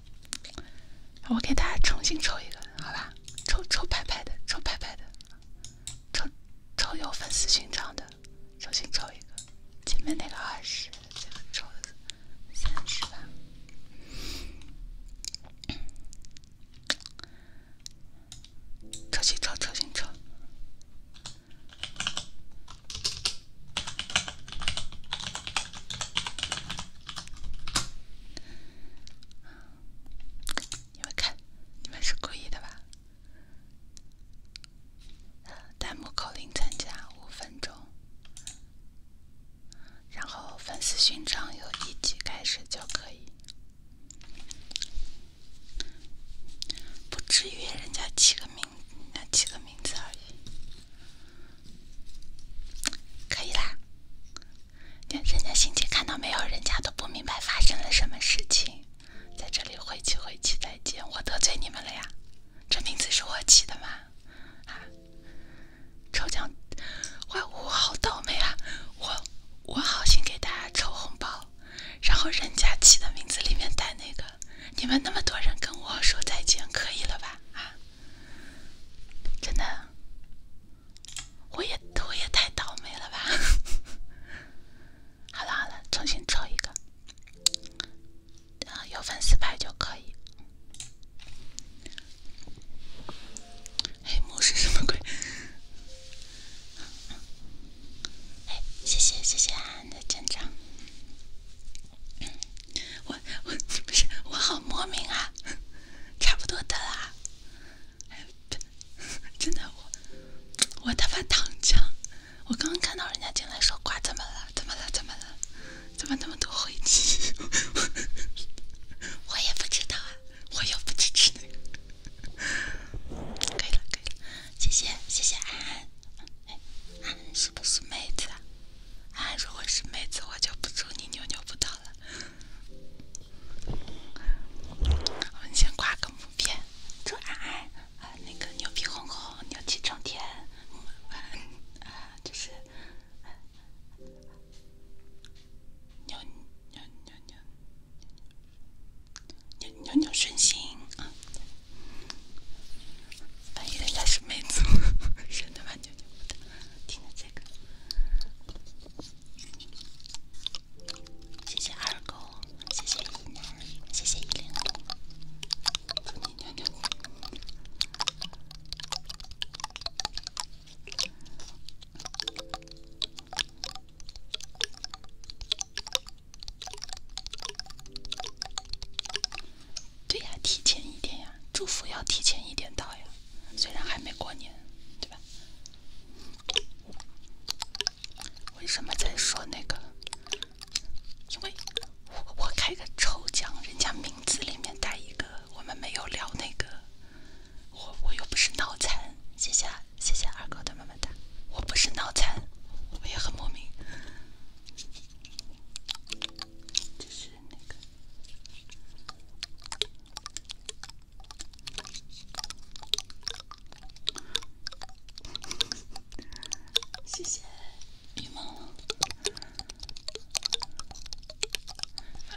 我给大家重新抽一个，好吧？抽抽牌牌的，抽牌牌的，抽抽有粉丝勋章的，重新抽一个。前面那个二十，这个抽个三十吧。重新抽，重新抽。你们看，你们是故意的吧？弹幕口令参加五分钟，然后粉丝勋章由一级开始就可以，不至于人家起个名。那起个名字而已，可以啦。人家欣姐看到没有？人家都不明白发生了什么事情，在这里晦气晦气。再见！我得罪你们了呀？这名字是我起的吗？啊！抽奖，哇！我好倒霉啊！我我好心给大家抽红包，然后人家起的名字里面带那个，你们那么多人跟我说再见，可以了吧？啊！真的，我也我也太倒霉了吧！[laughs] 好了好了，重新抽一个，啊，有粉丝牌就可以。黑幕是什么鬼？哎，谢谢谢谢安安的紧张。我我不是我好莫名啊，[laughs] 差不多的啦，[laughs] 真的我我他妈躺枪，我刚刚看到人家进来说挂怎么了怎么了怎么了怎么那么多灰机，[laughs] 我也不知道啊，我又不支持那个，可以了可以了，谢谢谢谢安安，安安是不是妹子？啊？哎，如果是妹子，我就不祝你牛牛不到了。我们先挂个图片，祝安安啊，那个牛皮红红，牛气冲天，啊，就是牛牛牛牛牛牛牛顺心啊。万一人家是美族，山东万牛牛听着这个，谢谢二狗，谢谢依南，谢谢依零。对呀，提前一点呀，祝福要提前一点到呀。虽然还没过年，对吧？为什么在说那个？因为我我开个抽奖，人家名字里面带一个我们没有聊那个，我我又不是脑残。谢谢，谢谢二狗的么么哒。我不是脑残，我也很莫名，就是那个。谢谢，羽毛。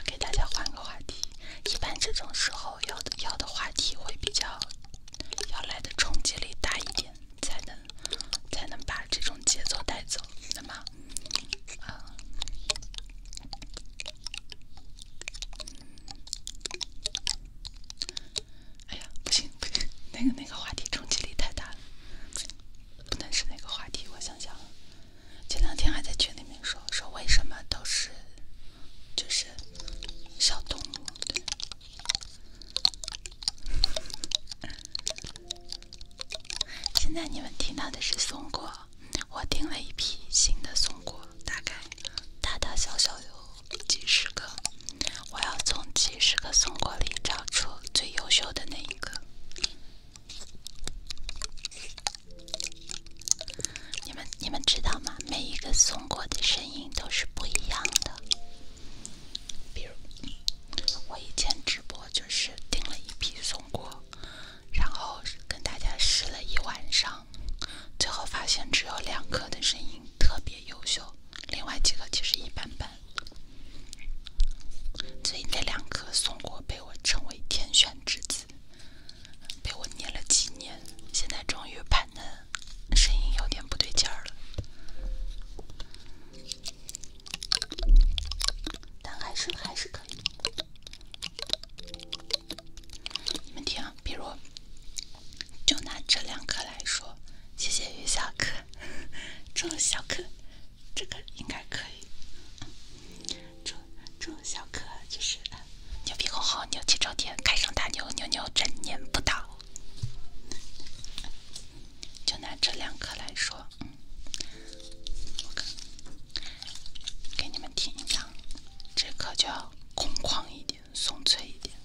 给大家换个话题，一般这种时候要的要的话题会比较要来的冲击力大一点，才能。才能把这种节奏带走。那么，啊，哎呀，不行不行，那个那个话题冲击力太大了，不能是那个话题。我想想，前两天还在群里面说说为什么都是就是小动物。现在你们听到的是松果，我订了一批新的松果，大概大大小小有几十个。我要从几十个松果里找出最优秀的那一个。你们你们知道吗？每一个松果的声音都是不一样的。比如我以前直播。就是订了一批松果，然后跟大家试了一晚上，最后发现只有两颗的声音特别优秀，另外几颗其实一般般。所以那两颗松果被我称为天选之子，被我捏了几年，现在终于判嫩，声音有点不对劲儿了。但还是还是可以。你们听，比如，就拿这两颗来说，谢谢于小可，祝小可，这个应该可以。祝祝小可就是牛皮哄哄，牛气冲天，开上大牛，牛牛整年不倒。就拿这两颗来说。嗯，给你们听一下，这颗就要空旷一点，松脆一点。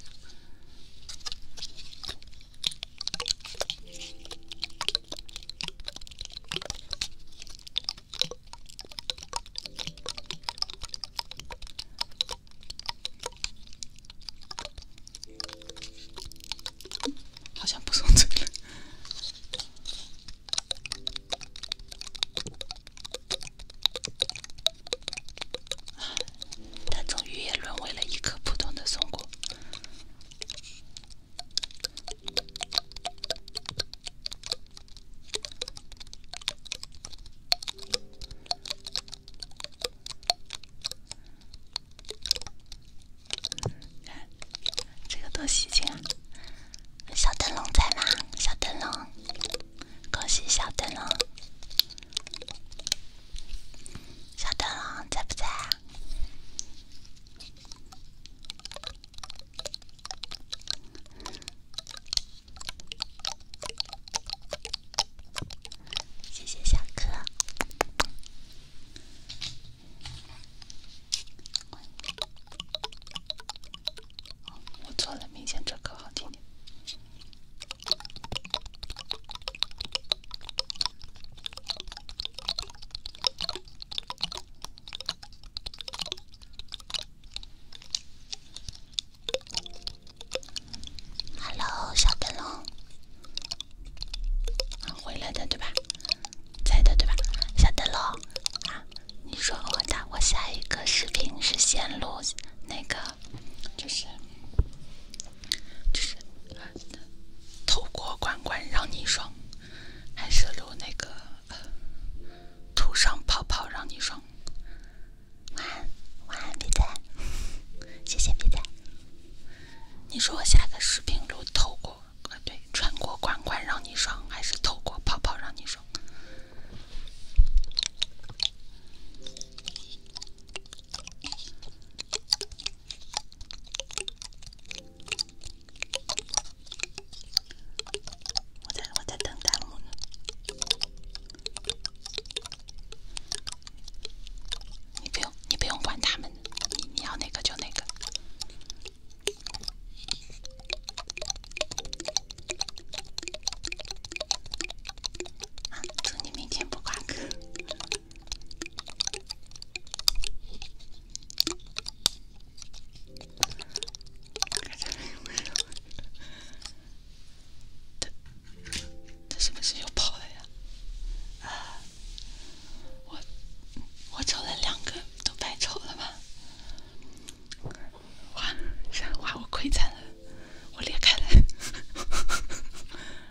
好像不松脆了。它终于也沦为了一颗普通的松果。这个多喜庆啊！小灯笼在吗？小灯笼，恭喜小灯笼！小灯笼在不在啊？谢谢小哥。我错了，明显这可好听点。Hello，小灯笼，回来的对吧？在的对吧？晓得了啊！你说我咋？我下一个视频是先录那个，就是就是透过罐罐让你爽，还是录那个涂上泡泡让你爽？晚安，晚安，皮仔，[laughs] 谢谢皮仔。你说我下个视频录透过。啊，对，穿过管管让你爽，还是透过泡泡让你爽？我在我在等弹幕呢。你不用，你不用管他们，你你要哪个就哪个。啊！祝你明天不挂科。他他是不是又跑了呀？啊！我我抽了两个，都白抽了吧？哇！啥哇？我亏惨了，我裂开了！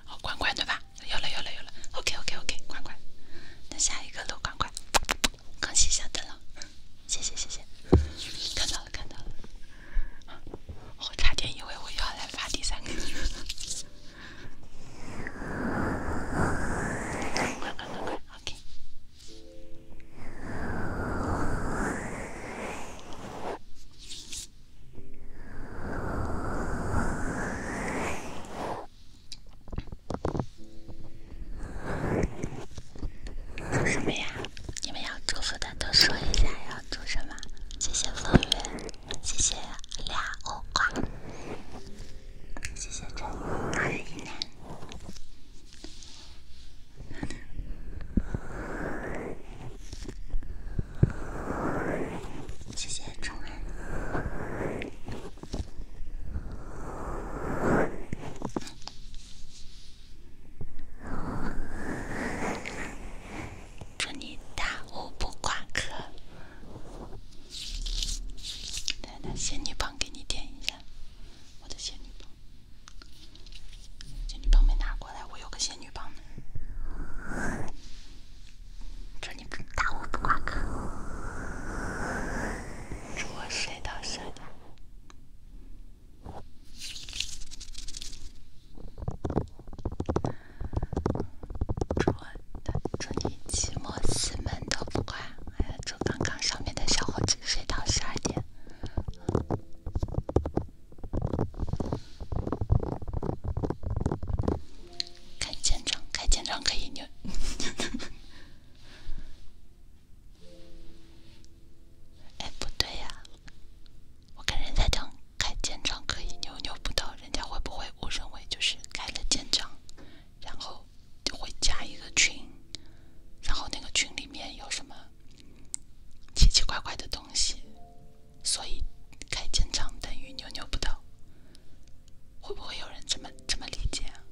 好，[laughs] 关关对吧？有了有了有了，OK OK OK，关关。那下一个都关关，刚熄下灯了，谢谢谢谢。看到了看到了，我差点以为我要来发第三个。快快快！什么呀？你们要祝福的都说一下，要祝什么？谢谢风云，谢谢俩欧挂。谢谢谢谢祝你大五不挂科。来来，仙女棒给你点一下，我的仙女棒，仙女棒没拿过来，我有个仙女棒呢。这你打我不挂科，我谁到谁的？这。祝你期末四门都不关！还祝刚刚上面的小伙子睡到十二点。开舰长，开舰长可以扭。[laughs] 哎，不对呀，我跟人家讲开舰长可以扭扭不到，人家会不会误认为就是开了舰长？然后就会加一个群，然后那个群里面有什么奇奇怪怪的东西，所以开建长等于牛牛不倒，会不会有人这么这么理解？啊？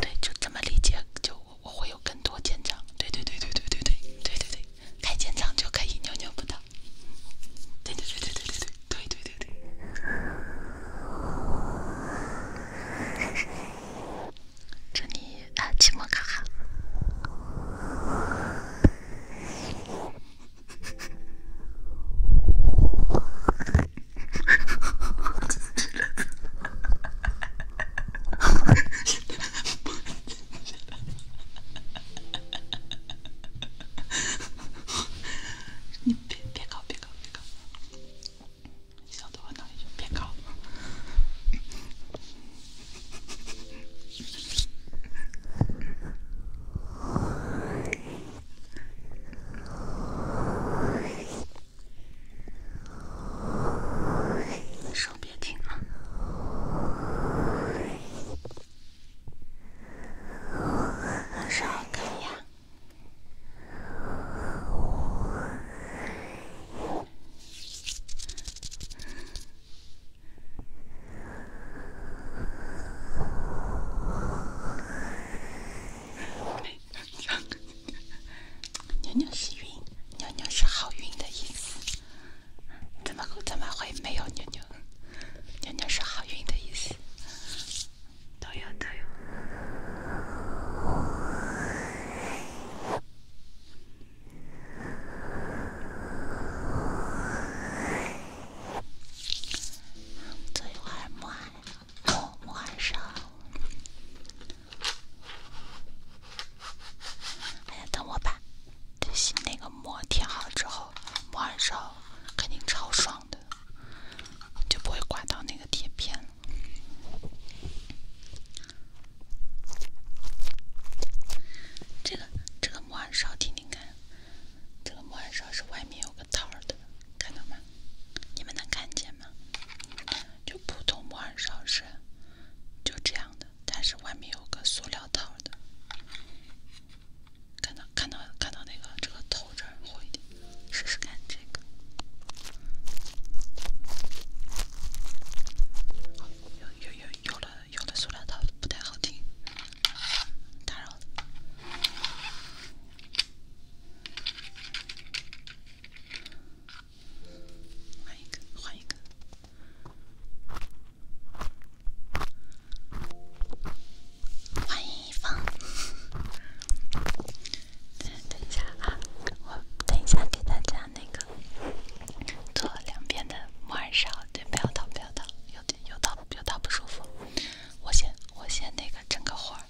对，就这么理解，就我我会有更多舰长。对对对对对对对对对对。开健身房就可以扭扭不倒。对对对对对对对对对对。祝你啊，期末考好。哈哈哈！哈哈哈！哈哈哈！[laughs] 你别别搞别搞别搞，小豆花同学，别搞，手别停了。啥牛牛是云，牛牛是好运的意思。怎么怎么会没有牛牛？娘娘是好运的意思，都有都有。等一会儿摸摸摸手，还要等我吧。这那个膜贴好之后，膜完之后肯定超爽的，就不会刮到那个贴片了。这个这个膜按勺听听看，这个膜按勺是外面有个套的，看到吗？你们能看见吗？就普通膜按勺是就这样的，但是外面有个塑料套的。看到看到看到那个这个头这儿一点，试试看这个。有有有有的有的塑料套不太好听，打扰了。换一个换一个。欢迎一峰，[laughs] 等一下啊，我等一下给大家那个做两边的木耳勺，对，不要倒，不要倒，有点有倒，有倒不舒服。我先我先那个整个活儿。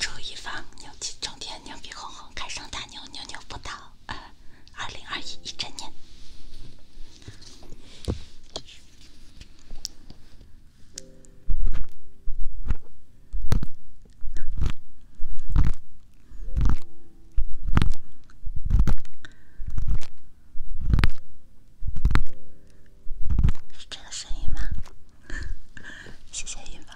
祝一峰牛气冲天，牛逼哄哄，开上大牛，牛牛不倒啊！二零二一一整年。是这个声音吗？[laughs] 谢谢云宝。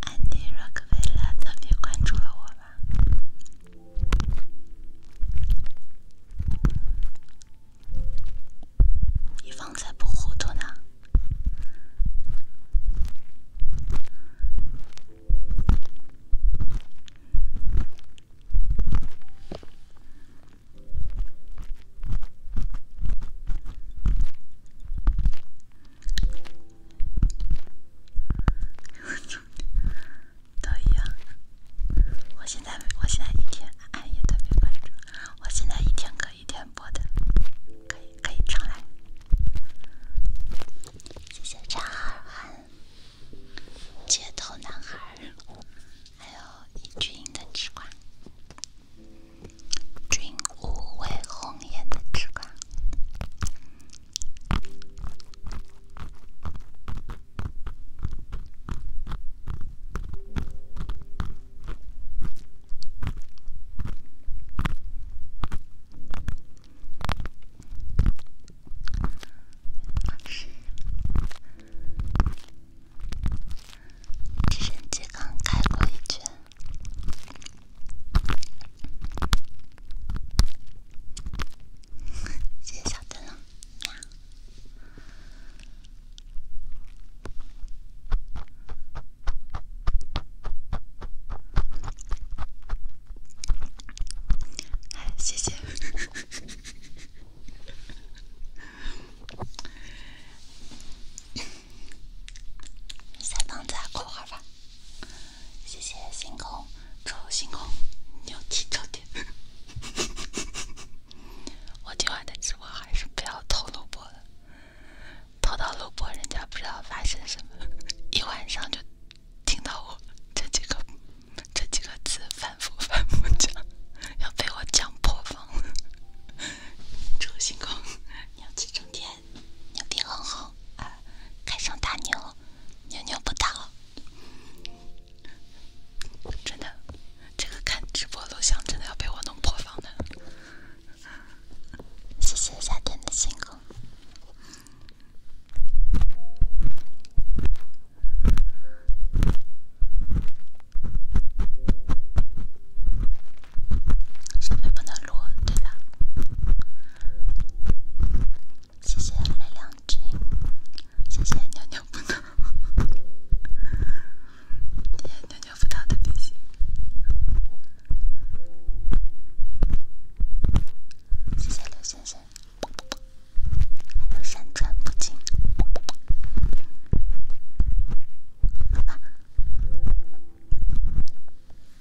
安迪·洛克维拉特别关注了我吧？一方才不糊涂呢。[laughs] 都一样，我现在我现在一天暗夜的没关注，我现在一天可一天播的，可以可以常来。谢谢张二汉、街头男孩，还有尹俊的吃瓜。君无谓红颜的痴狂。是，直升机刚开过一圈。谢谢小灯了，谢谢。[laughs] 三胖子，快玩吧！谢谢星空，祝星空牛气冲天。我今晚的直播还是不要透露播了，透露播人家不知道发生什么，一晚上就听到我这几个、这几个字反复反复讲，要被我讲破防祝星空牛气冲天。牛逼很好，开上大牛，牛牛不倒，真的，这个看直播录像真的要被我弄破防的。谢谢夏天的星空。设备不能录，对的。谢谢泪两斤，谢谢尿尿不倒，谢谢尿尿不倒的提醒，谢谢刘先生，还有山川不惊。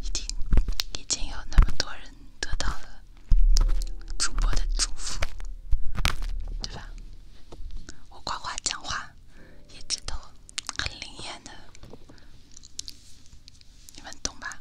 已经已经有那么多人得到了主播的祝福，对吧？我夸夸讲话一直都很灵验的，你们懂吧？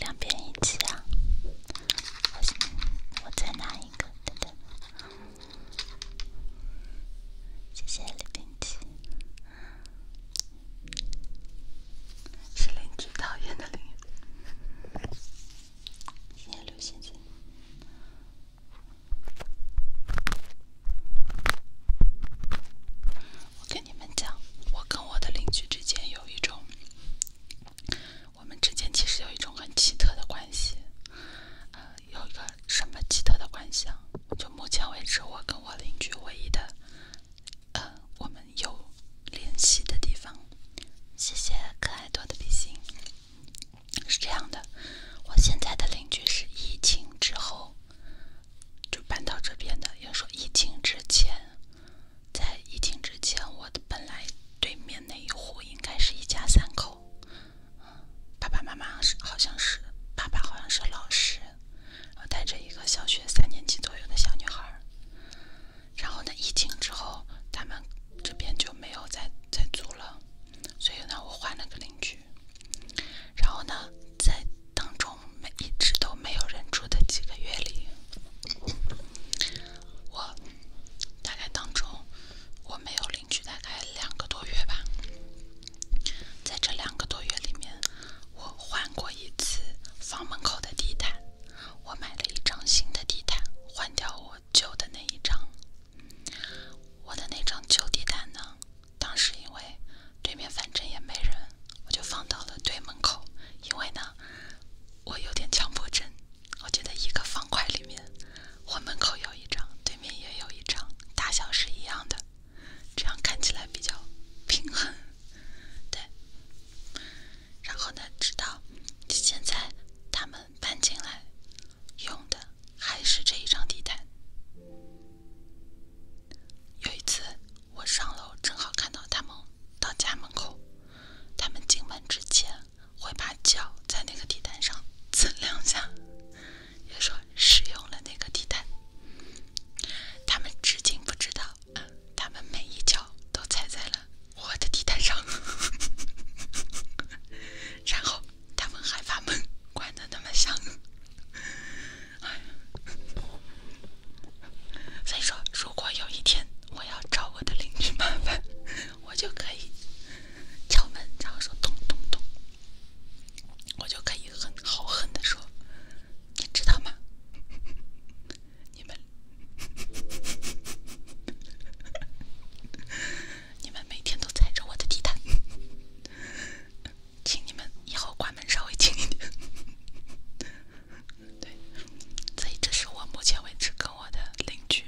两边一起啊！我我再拿一个，等等。谢谢邻居，是邻居讨厌的邻居。今天六星星。我跟你们讲，我跟我的邻居之间有一种，我们之间其实有一种很奇特的关系。呃，有一个什么奇特的关系啊？就目前为止，我跟我邻居唯一的，呃，我们有联系的地方。谢谢可爱多的比心。是这样的，我现在的邻居是疫情之后就搬到这边的。要说疫情之前，在疫情之前，我的本来对面那一户应该是一家三口，爸爸妈妈是好像是爸爸好像是老师，然后带着一个小学三年级左右的小女孩。然后呢，疫情之后，他们这边就没有再再租了，所以呢，我换了个邻居。然后呢，在当中没一直都没有人住的几个月里，我大概当中我没有邻居大概两个多月吧，在这两个多月里面，我换过一次房门口的地毯，我买了一张新的地毯换掉我。旧的那一张，我的那张旧地毯呢？当时因为对面反正也没人，我就放到了对门口。因为呢，我有点强迫症，我觉得一个方块里面，我门口有一张，对面也有一张，大小是一样的，这样看起来比较平衡。对，然后呢，直到现在他们。搬进来用的还是这一张地毯。有一次我上楼正好看到他们到家门口，他们进门之前会把脚在那个地毯上蹭两下，也说使用了那个地毯。他们至今不知道啊，他们每一脚都踩在了。我的地毯上，[laughs] 然后他们还把门关的那么响，所以说，如果有一天我要找我的邻居麻烦，我就可以敲门，然后说咚咚咚，我就可以很豪横的说，你知道吗？你们。你们每天都踩着我的地毯，[laughs] 请你们以后关门稍微轻一点。对，所以这是我目前为止跟我的邻居。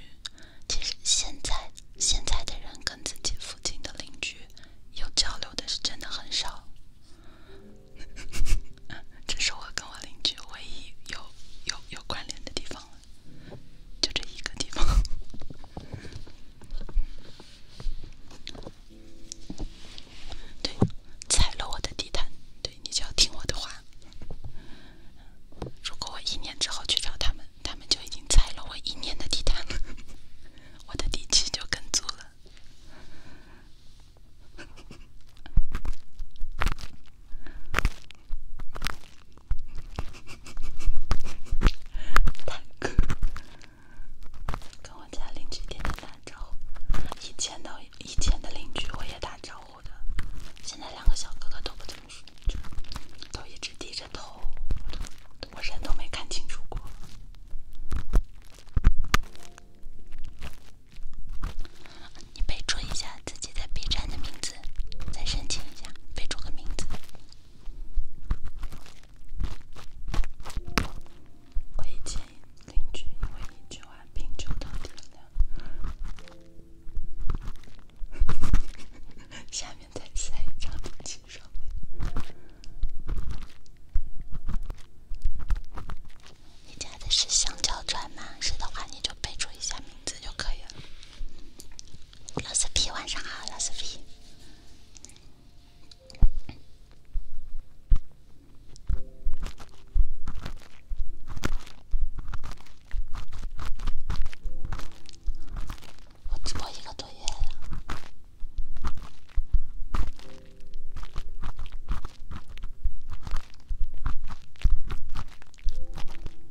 其实现在现在的人跟自己附近的邻居有交流的是真的很少。[laughs] 这是我跟我邻居唯一有有有关联的地方。了。就这一个地方，[laughs] 对，踩了我的地毯，对你就要听我的话。如果我一年之后去找他们，他们就已经踩了我一年的地毯了，[laughs] 我的底气就更足了。大哥，跟我家邻居天天打招呼，以前的以前的邻居我也打招呼的，现在两个小哥哥都不怎么说话，都一直低着头，我人都没看清楚过。你备注一下。自己在 B 站的名字，再申请一下，备注个名字。[laughs] 是香蕉砖吗？是的话，你就备注一下名字就可以了。老四皮，晚上好，老四皮。我直播一个多月了。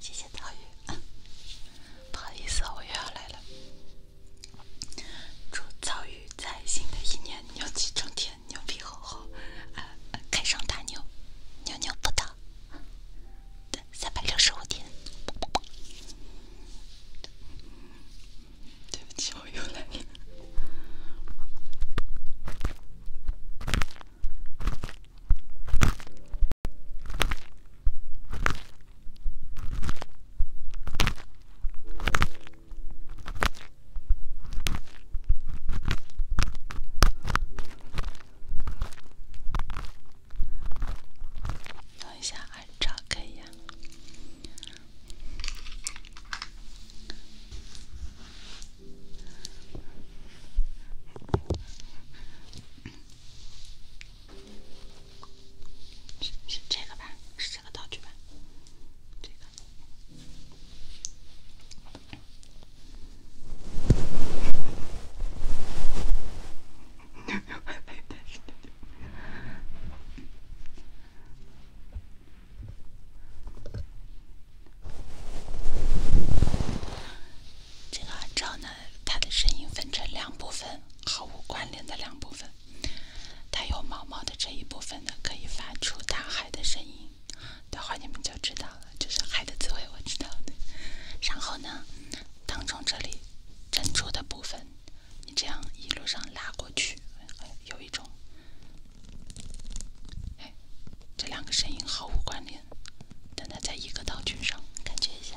谢谢草鱼，[laughs] 不好意思，我又来了。祝草鱼在新的一年牛气冲天，牛逼哄哄，啊，开上大牛，牛牛不得，对，三百六十五天。对不起，我又来了。[laughs] 等一下耳罩可以啊。是是这个吧？是这个道具吧？这个。这个赵楠。它的声音分成两部分，毫无关联的两部分。他有毛毛的这一部分呢，可以发出大海的声音，待会儿你们就知道了，就是海的滋味，我知道的。然后呢，当中这里珍珠的部分，你这样一路上拉过去，有一种，哎，这两个声音毫无关联，但它在一个道具上，感觉一下。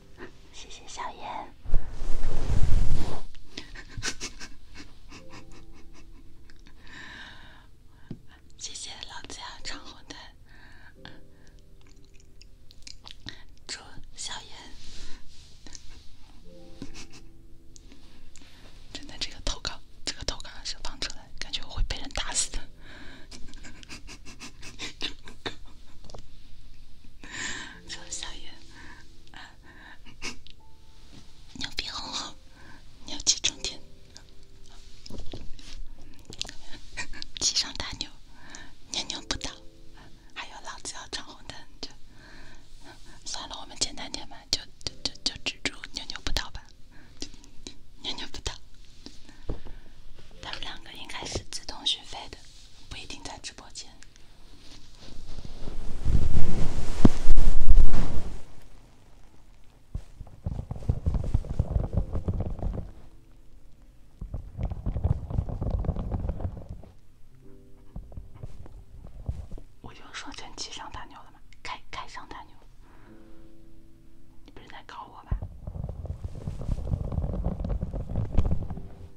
谢谢小严，[laughs] 谢谢老家长红灯。祝小严，真的这个投稿，这个投稿是放出来，感觉我会被人打死的，[laughs] 小圆，牛逼哄哄，牛气冲天，骑上大牛，牛牛不倒。还有老子要闯红灯，就算了，我们简单点吧，就就就就只祝牛牛不倒吧。牛牛不倒，他们两个应该是自动续费的，不一定在直播间。我就说成骑上大牛了嘛，开开上大牛，你不是在搞我吧？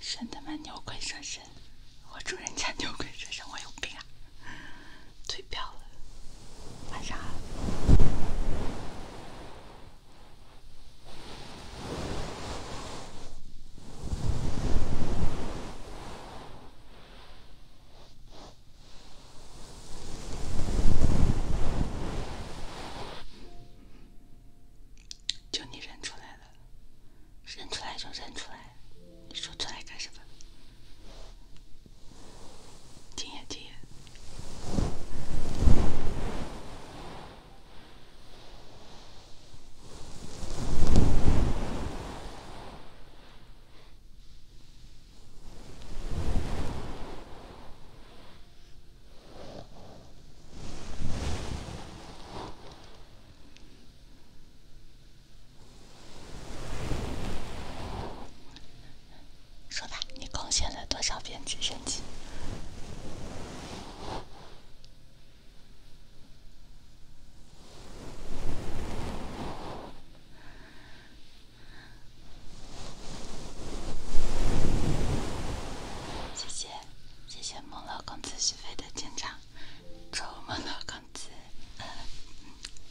神他妈牛鬼蛇神！我主人家牛鬼蛇神，我有病啊！退票了，晚上好。就你认出来了，认出来就认出来，你说出来干什么？听呀听呀，说吧，你贡献了多少片直升机？谢谢，谢谢木乐公子许飞的紧张。臭木乐公子，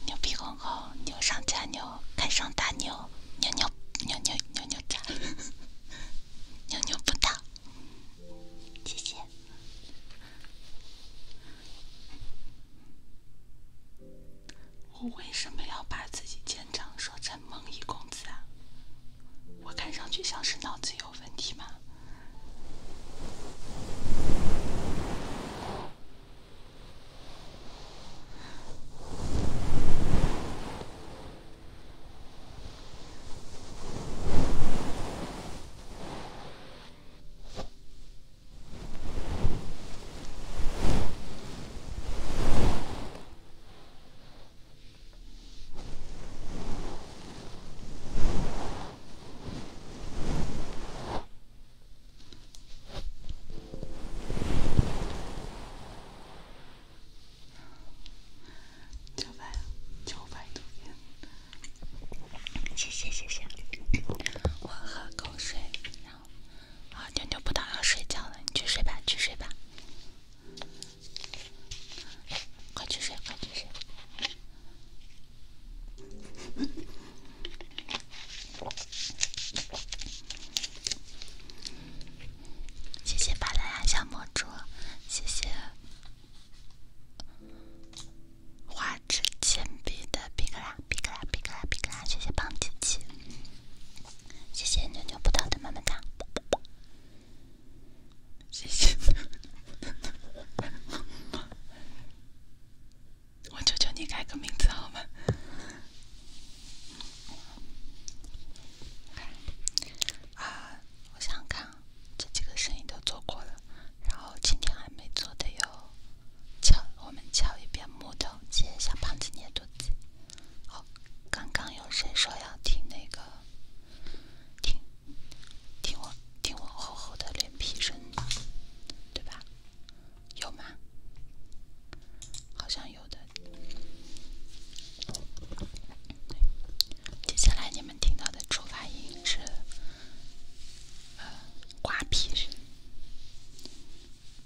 牛皮哄哄，牛上加牛，开上大牛，牛牛牛牛牛牛炸了，牛牛不到。谢谢。我为什么要把自己肩章说成梦一公子啊？我看上去像是脑子有问题吗？多谢谢谢谢。我喝口水。好，妞妞不早要睡觉了，你去睡吧，去睡吧，快去睡，快去睡。谢谢巴啦啦小魔花。吃铅笔的皮克拉，皮克拉，皮克拉，皮克拉！谢谢胖琪琪，谢谢牛牛葡萄的慢慢糖，谢谢。我求求你改个名字好吗？啊，我想看，这几个生意都做过了，然后今天还没做的哟。敲，我们敲一遍木头。接小胖子捏肚子。好，刚刚有谁说要听那个？听，听我听我厚厚的脸皮声，吧？对吧？有吗？好像有的。接下来你们听到的出发音是呃瓜皮声。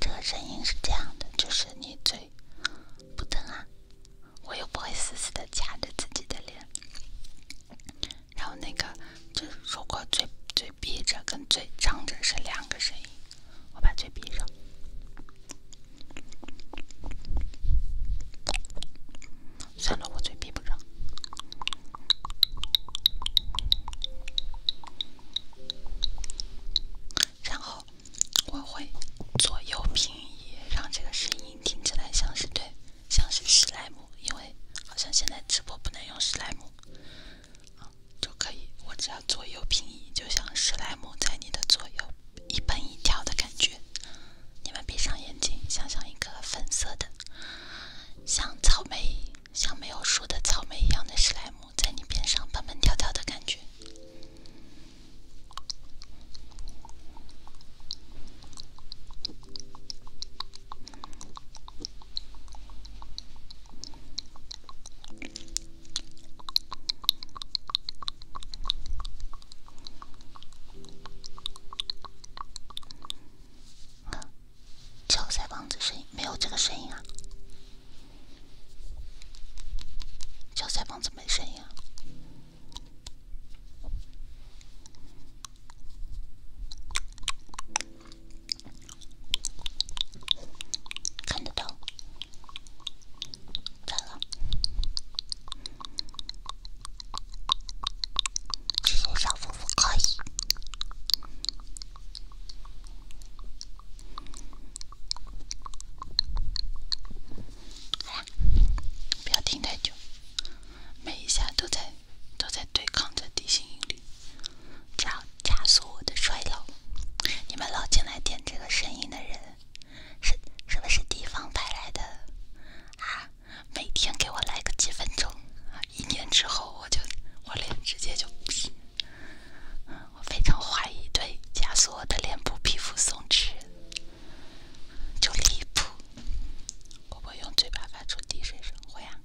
这个声音是这样的，就是你嘴不疼啊？我又不会死死的夹着自己的脸。然后那个，就是如果嘴嘴闭着跟嘴张着是两个声音，我把嘴闭上。算了，我嘴闭不上。然后我会左右平移，让这个声音听起来像是对。像是史莱姆，因为好像现在直播不能用史莱姆，就可以。我只要左右平移，就像史莱姆在你的左右一蹦一跳的感觉。你们闭上眼睛，想象一个粉色的，像草莓，像没有熟的草莓一样的史莱姆在你边上蹦蹦跳跳的感觉。敲腮帮子声音没有这个声音啊！敲腮帮子没声音啊！看得懂。这个，这些小幅度可以。不要停太久，每一下都在。都在对抗着地心引力，只要加速我的衰老。你们老进来点这个声音的人，是是不是地方派来的啊？每天给我来个几分钟，一年之后我就我脸直接就，不行。我非常怀疑对，加速我的脸部皮肤松弛，就离谱。会不会用嘴巴发出滴水声？会啊。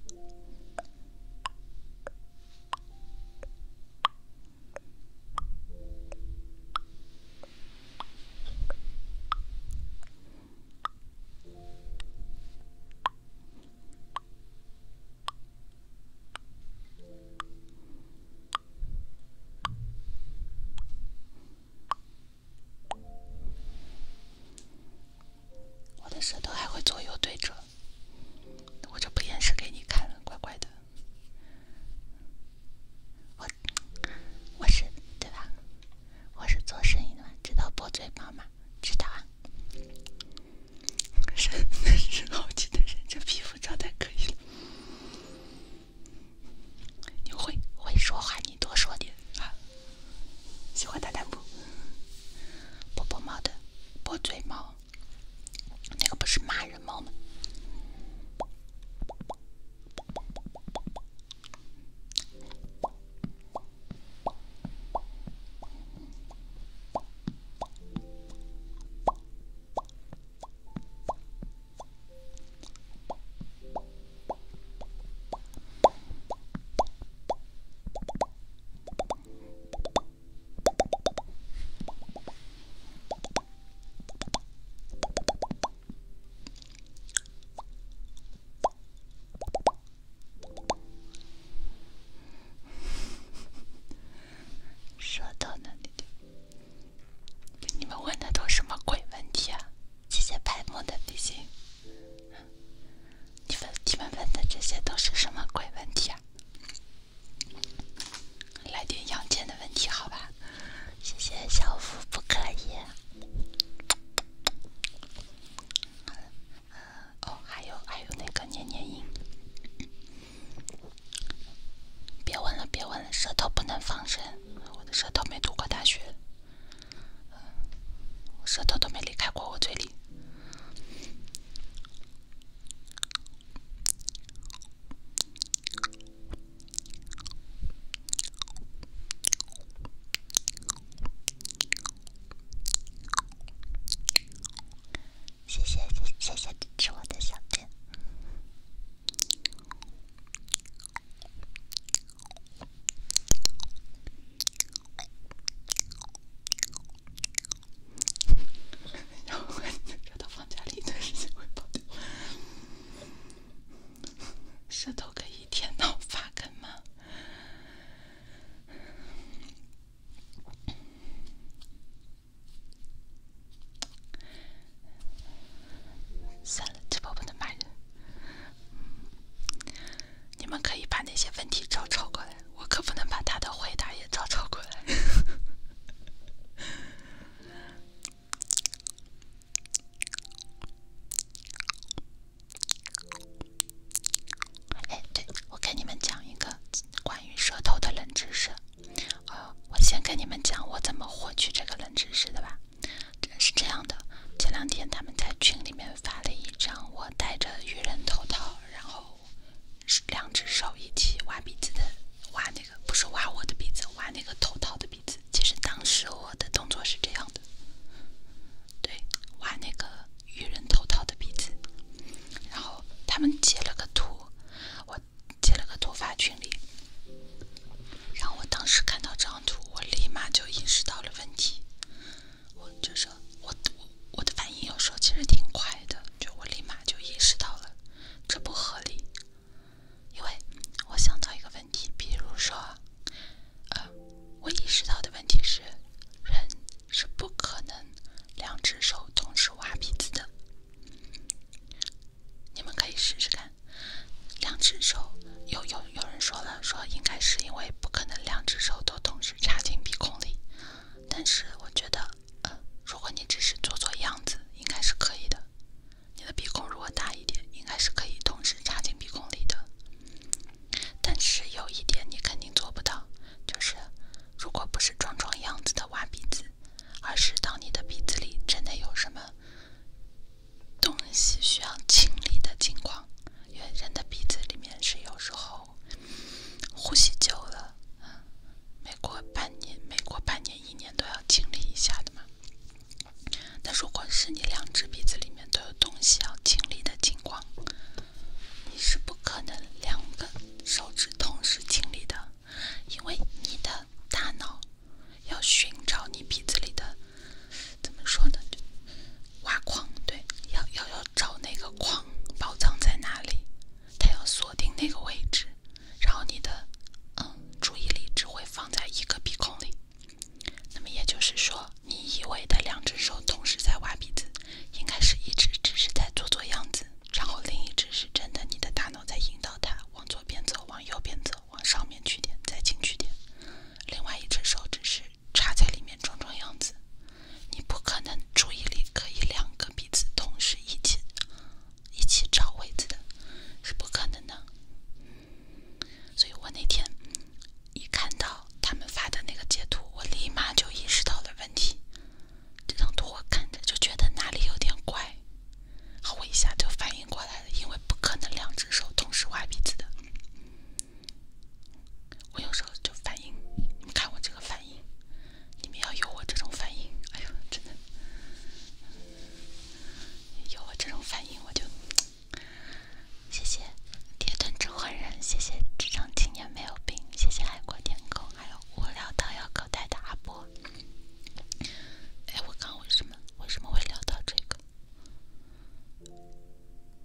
我的舌头还会左右对折，我就不演示给你看了，怪怪的。我我是对吧？我是做生意的嘛，知道破嘴吗？知道啊。人 [laughs] 是好气的人，这皮肤状态可以了。你会会说话，你多说点啊。喜欢大弹不？波波猫的，波嘴猫，那个不是骂人猫吗？舌头呢？你们问的都什么鬼问题啊？谢谢白木的比心。你问你们问的这些都是什么鬼问题啊？来点阳间的问题好吧？谢谢小福，不可以。哦，还有还有那个黏黏音，别问了别问了，舌头不能放声，我的舌头没读过大学。舌头都没离开过我嘴里，谢谢谢谢谢支持我的小店。舌头可以舔到发根吗？算了，直播不能骂人。你们可以把那些问题照抄过来，我可不能把他的回答也照抄过来。哎，对，我跟你们讲一个关于舌头的冷知识。呃，我先跟你们讲我怎么获取这个冷知识的吧。是这样的，前两天他们在群里面发了一。这样，我戴着渔人头套，然后两只手一起挖鼻子的挖那个，不是挖我的鼻子，挖那个头套的鼻子。其实当时我的动作是这样的，对，挖那个渔人头套的鼻子。然后他们截了个图，我截了个图发群里，然后我当时看到这张图，我立马就意识到了问题。我就说，我我我的反应有时候其实挺快的，就我立马就意识到了，这不合理，因为我想到一个问题，比如说，呃，我意识到的问题是，人是不可能两只手同时挖鼻子的，你们可以试试看，两只手，有有有人说。了。说应该是因为不可能两只手都同时插进鼻孔里，但是我觉得，呃，如果你只是做做样子，应该是可以的。你的鼻孔如果大一点，应该是可以同时插进鼻孔里的。但是有一点你肯定做不到，就是如果不是装装样子的挖鼻子，而是当你的鼻子里真的有什么东西需要清理的情况，因为人的鼻子里面是有时候。呼吸久了，每过半年、每过半年、一年都要清理一下的嘛。那如果是你两只鼻子里面都有东西要清理的情况，你是不可能两根手指同时清理的，因为你的大脑要寻找你鼻子里的，怎么说呢？就。挖矿对，要要要找那个矿宝藏在哪里，它要锁定那个位置，然后你的嗯注意力只会放在一个鼻孔里，那么也就是说，你以为的两只手同时在挖鼻子，应该是一只只是在做做样子，然后另一只是真的，你的大脑在引导它往左边走，往右边走，往上面去点，再进去点，另外一只手只是。插在里面装装样子，你不可能注意力可以两个鼻子同时一起一起找位置的，是不可能的所以我那天一看到他们发的那个截图，我立马就意识到了问题。这张图我看着就觉得哪里有点怪，我一下就反应过来了，因为不可能两只手同时挖鼻子的。我有时候就反应，你们看我这个反应，你们要有我这种反应，哎呦，真的，有我这种反应，我就谢谢铁盾真狠人，谢谢智商青年没有病，谢谢海阔天空，还有我聊到要搞代的阿波。哎，我讲为什么为什么会聊到这个？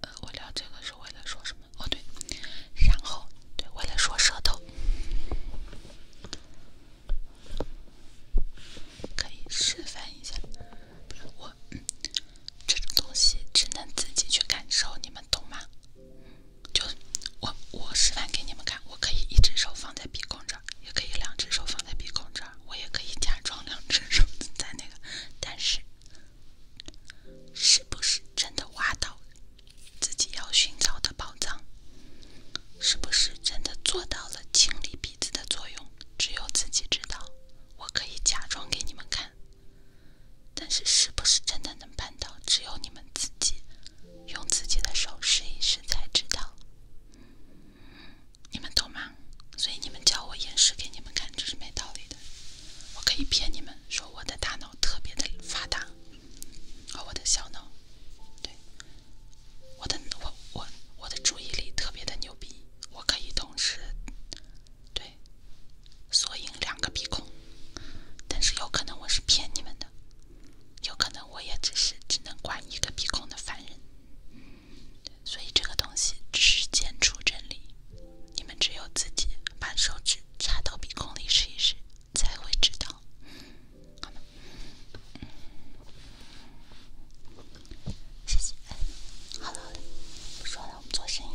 呃，我聊这个是为了说什么？哦对，然后对我来说舌头，可以示范一下。我，这种东西只能自己去感受，你们懂吗？就我我示范给你们看，我可以一只手放在鼻孔这儿，也可以两只手放在鼻孔这儿，我也可以假装两只手 [laughs] 在那个，但是。是不是真的挖到自己要寻找的宝藏？是不是真的做到了清理鼻子的作用？只有自己知道。我可以假装给你们看，但是是不是真的能办到，只有你们自己用自己的手试一试才知道。你们懂吗？所以你们叫我演示给你们看，这是没道理的。我可以骗你们说我的大脑。特别的发达，和我的小脑，对，我的我我我的注意力特别的牛逼，我可以同时对，缩赢两个鼻孔，但是有可能我是骗你们的，有可能我也只是只能管一个鼻孔的凡人，所以这个东西只是简出真理。你们只有自己把手指插到鼻孔里试一试，才会知道。谢谢。好了好了，不说了，我们做生意。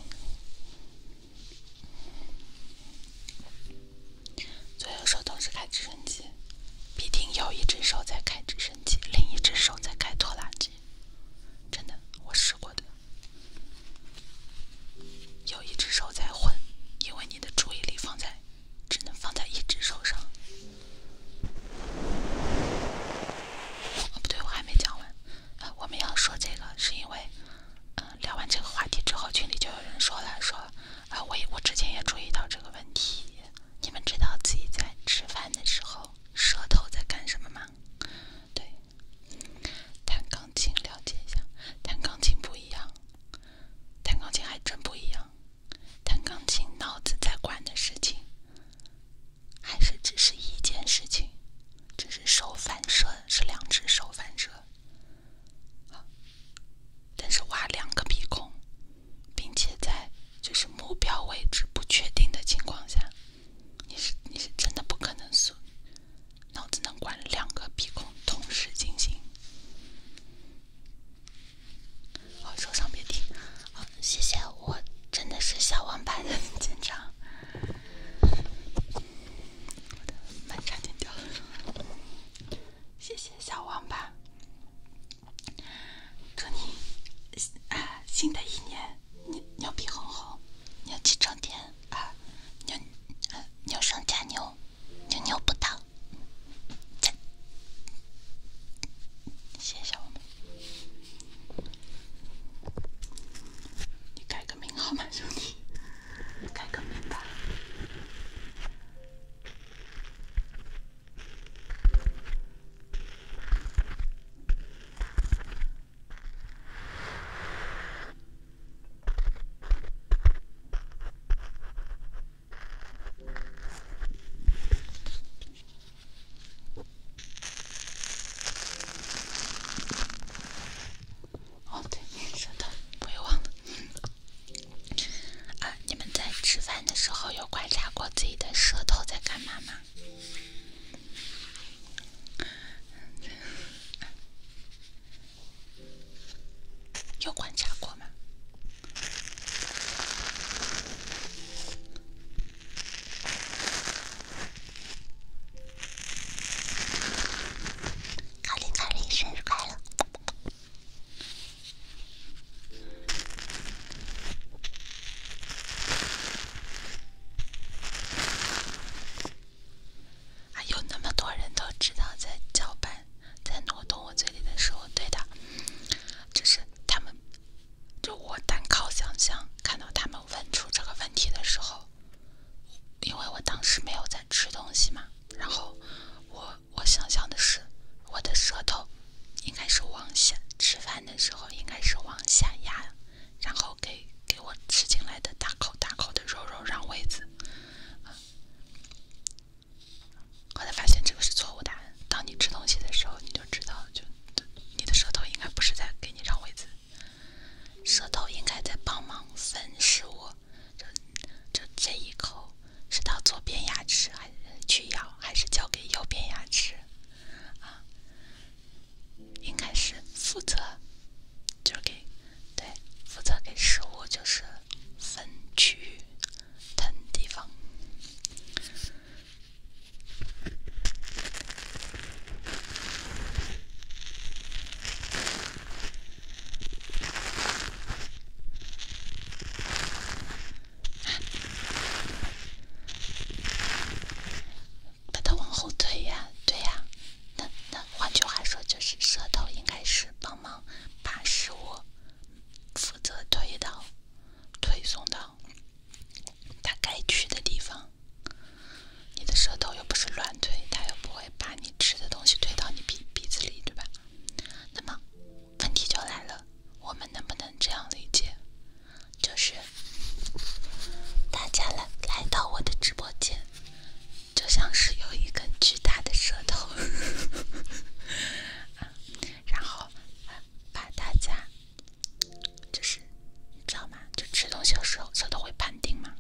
左右手同时开直升机，必定有一只手在开直升机，另一只手在开拖拉机。真的，我试过的。有一只手在混，因为你的注意力放在，只能放在一只手上。不对，我还没讲完。我们要说这个，是因为，嗯，聊完这个话题之后，群里就有人说了，说，啊，我我之前也注意到这个问题。你们知道自己在吃饭的时候，舌头在干什么吗？对，弹钢琴了解一下，弹钢琴不一样，弹钢琴还真不一样，弹钢琴脑子在管的事情，还是只是一件事情，只是手反射是两只手反射，好，但是挖两个鼻孔，并且在就是目标位置不确定的情况下，你是你是真的不可能速。脑子能管两个鼻孔同时进行。好，手上别停。好，谢谢我真的是小王八，的见长。我点掉谢谢小王八。祝你啊，新的一年你牛逼哄哄。牛气冲天二牛，牛上加牛，牛牛不倒。谢谢我们，你改个名号嘛，兄弟，你改个名吧。哦，对，舌头，我也忘了。啊，你们在吃饭的时候有观察过自己的舌头在干嘛吗？有观察过吗？卡卡生日快乐！还有那么多人都知道在搅拌、在挪动我嘴里的时候，对的，就是他们，就我单靠想象，看到他们问出这个问题的时候，因为我当时没有在吃东西嘛，然后我我想象的是，我的舌头应该是往下，吃饭的时候应该是往下压，然后给给我吃进来的大口大口的肉肉让位子。后来发现这个是错误答案。当你吃东西的时候，你就知道，就你的舌头应该不是在给你让位子，舌头应该在帮忙分食物。这、这这一口是到左边牙齿还是去咬，还是交给右边牙齿？啊，应该是负责交给。对，负责给食物就是分区腾地方，把它往后推呀，对呀。那那换句话说，就是舌头应该是帮忙把食物负责推到、推送到它该去的地方。你的舌头又不是乱推，它又不会把你吃的东西推到你鼻鼻子里，对吧？那么问题就来了，我们能不能这样理解？就是大家来来到我的直播间。就像是有一根巨大的舌头，[laughs] 然后把大家，就是，你知道吗？就吃东西的时候，舌头会判定嘛。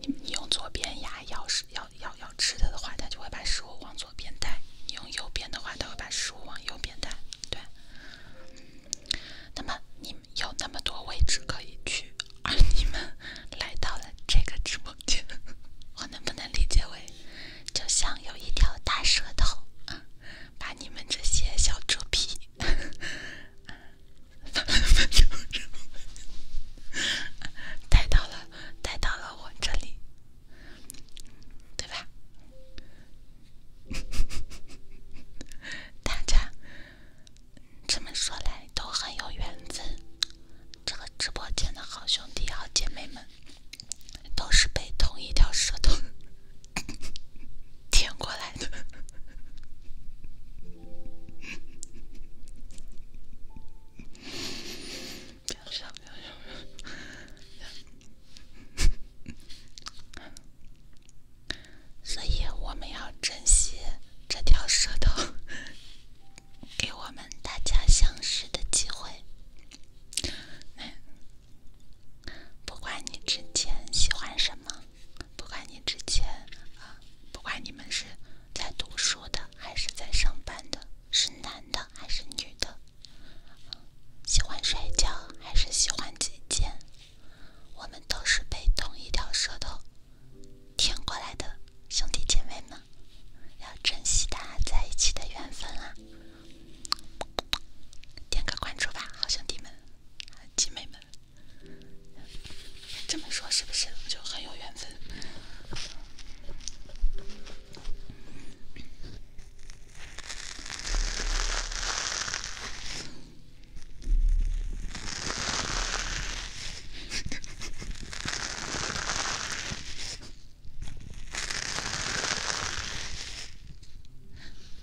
你你用左边牙咬食咬咬咬吃的的话，它就会把食物往左边带；你用右边的话，它会把食物往右边带。对，那么你。有那么多位置可以去，而你们来到了这个直播间，我能不能理解为，就像有一条大舌头 [laughs] 把你们这些小猪皮，[laughs] 带到了带到了我这里，对吧？[laughs] 大家。这么说来都很有缘分，这个直播间的好兄弟、好姐妹们，都是被同一条舌头 [laughs] 舔过来的。所以我们要珍惜这条舌头，[laughs] 给我们大家相识的机会。不管你之前喜欢什么，不管你之前啊，不管你们是在读书的还是在上班的，是男的还是女的，喜欢摔跤还是喜欢击剑，我们都是被同一条舌头。挺过来的兄弟姐妹们，要珍惜大家在一起的缘分啊！点个关注吧，好兄弟们，姐妹们，这么说是不是就很有缘分？[laughs]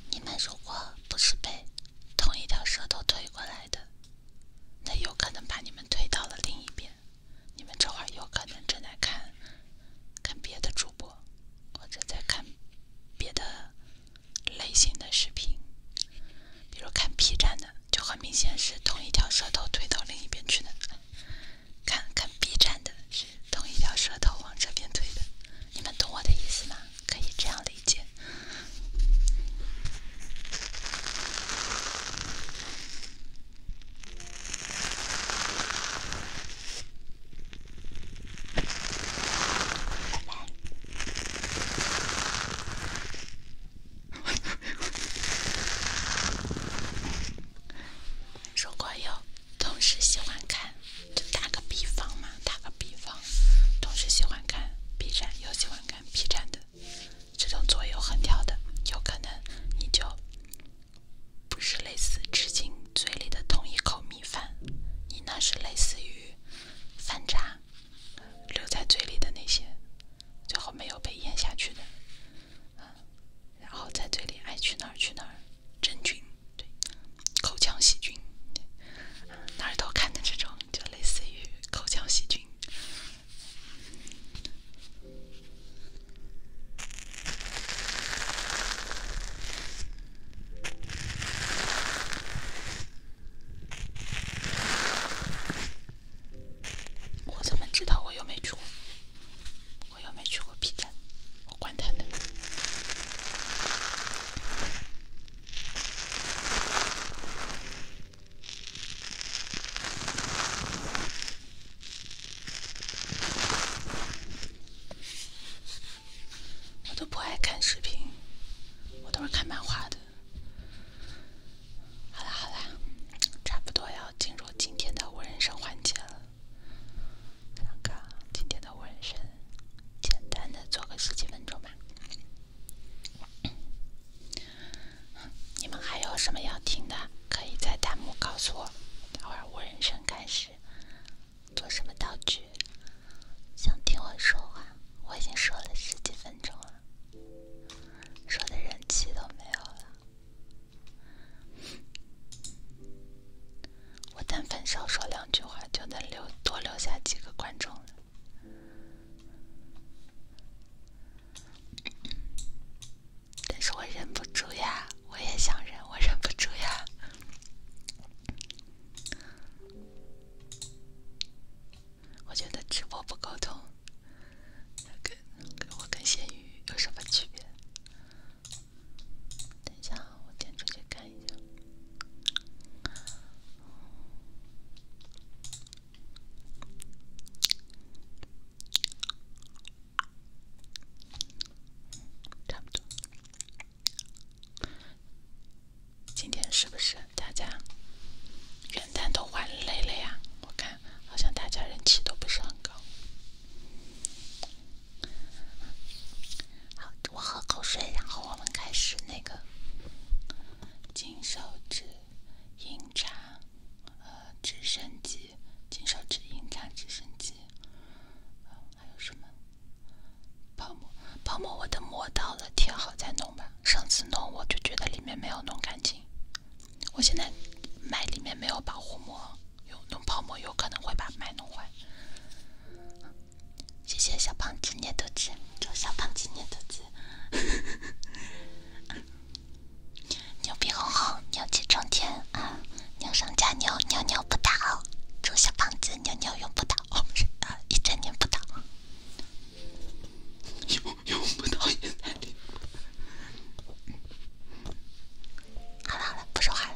你们如果不是被同一条舌头推过来的，那有可能把你们推到了另一边。你们这会有可能正在看看别的主播，或者在看别的类型的视频，比如看 P 站的。就很明显是同一条舌头推到另一边去的，看看 B 站的是同一条舌头往这边推的，你们懂我的意思吗？可以这样理解。如果有同时喜欢看，就打个比方嘛，打个比方，同时喜欢看 B 站又喜欢看 B 站的，这种左右横跳的，有可能你就不是类似吃进嘴里的同一口米饭，你那是类似于饭渣留在嘴里的那些。最后没有被咽下去的，嗯，然后在嘴里爱去哪儿去哪，儿，真菌对，口腔细菌，哪儿都看的这种，就类似于口腔细菌。我怎么知道我又没去过？我又没去过 B 站，我管他呢。我都不爱看视频，我都是看漫画的。好啦，好啦，差不多要进入今天的无人声环节了。看看今天的无人声，简单的做个十几分钟吧。你们还有什么要听的？可以在弹幕告诉我。待会儿无人声开始，做什么道具？想听我说话？我已经说了十几分钟了。说的人气都没有了，我但凡少说两句话就能留多留下几个观众但是我忍不住呀，我也想忍，我忍不住呀。我觉得直播不沟通，跟跟我跟咸鱼有什么区别？等一下，我点出去看一下。差不多，今天是不是？大家元旦都玩累了呀，我看好像大家人气都不是很高。好，我喝口水，然后我们开始那个金手指饮茶，呃，直升机，金手指饮茶直升机，还有什么泡沫泡沫，我的膜到了贴好再弄吧。上次弄我就觉得里面没有弄干净，我现在麦里面没有保护膜，有弄泡沫有可能会把麦弄坏。谢谢小胖子捏肚子，祝小胖子捏肚子，牛逼哄哄，牛气冲天啊！牛上加牛，牛牛不倒，祝小胖子牛牛永不倒，一整年不倒。用不到眼力。好了好了，不说话了。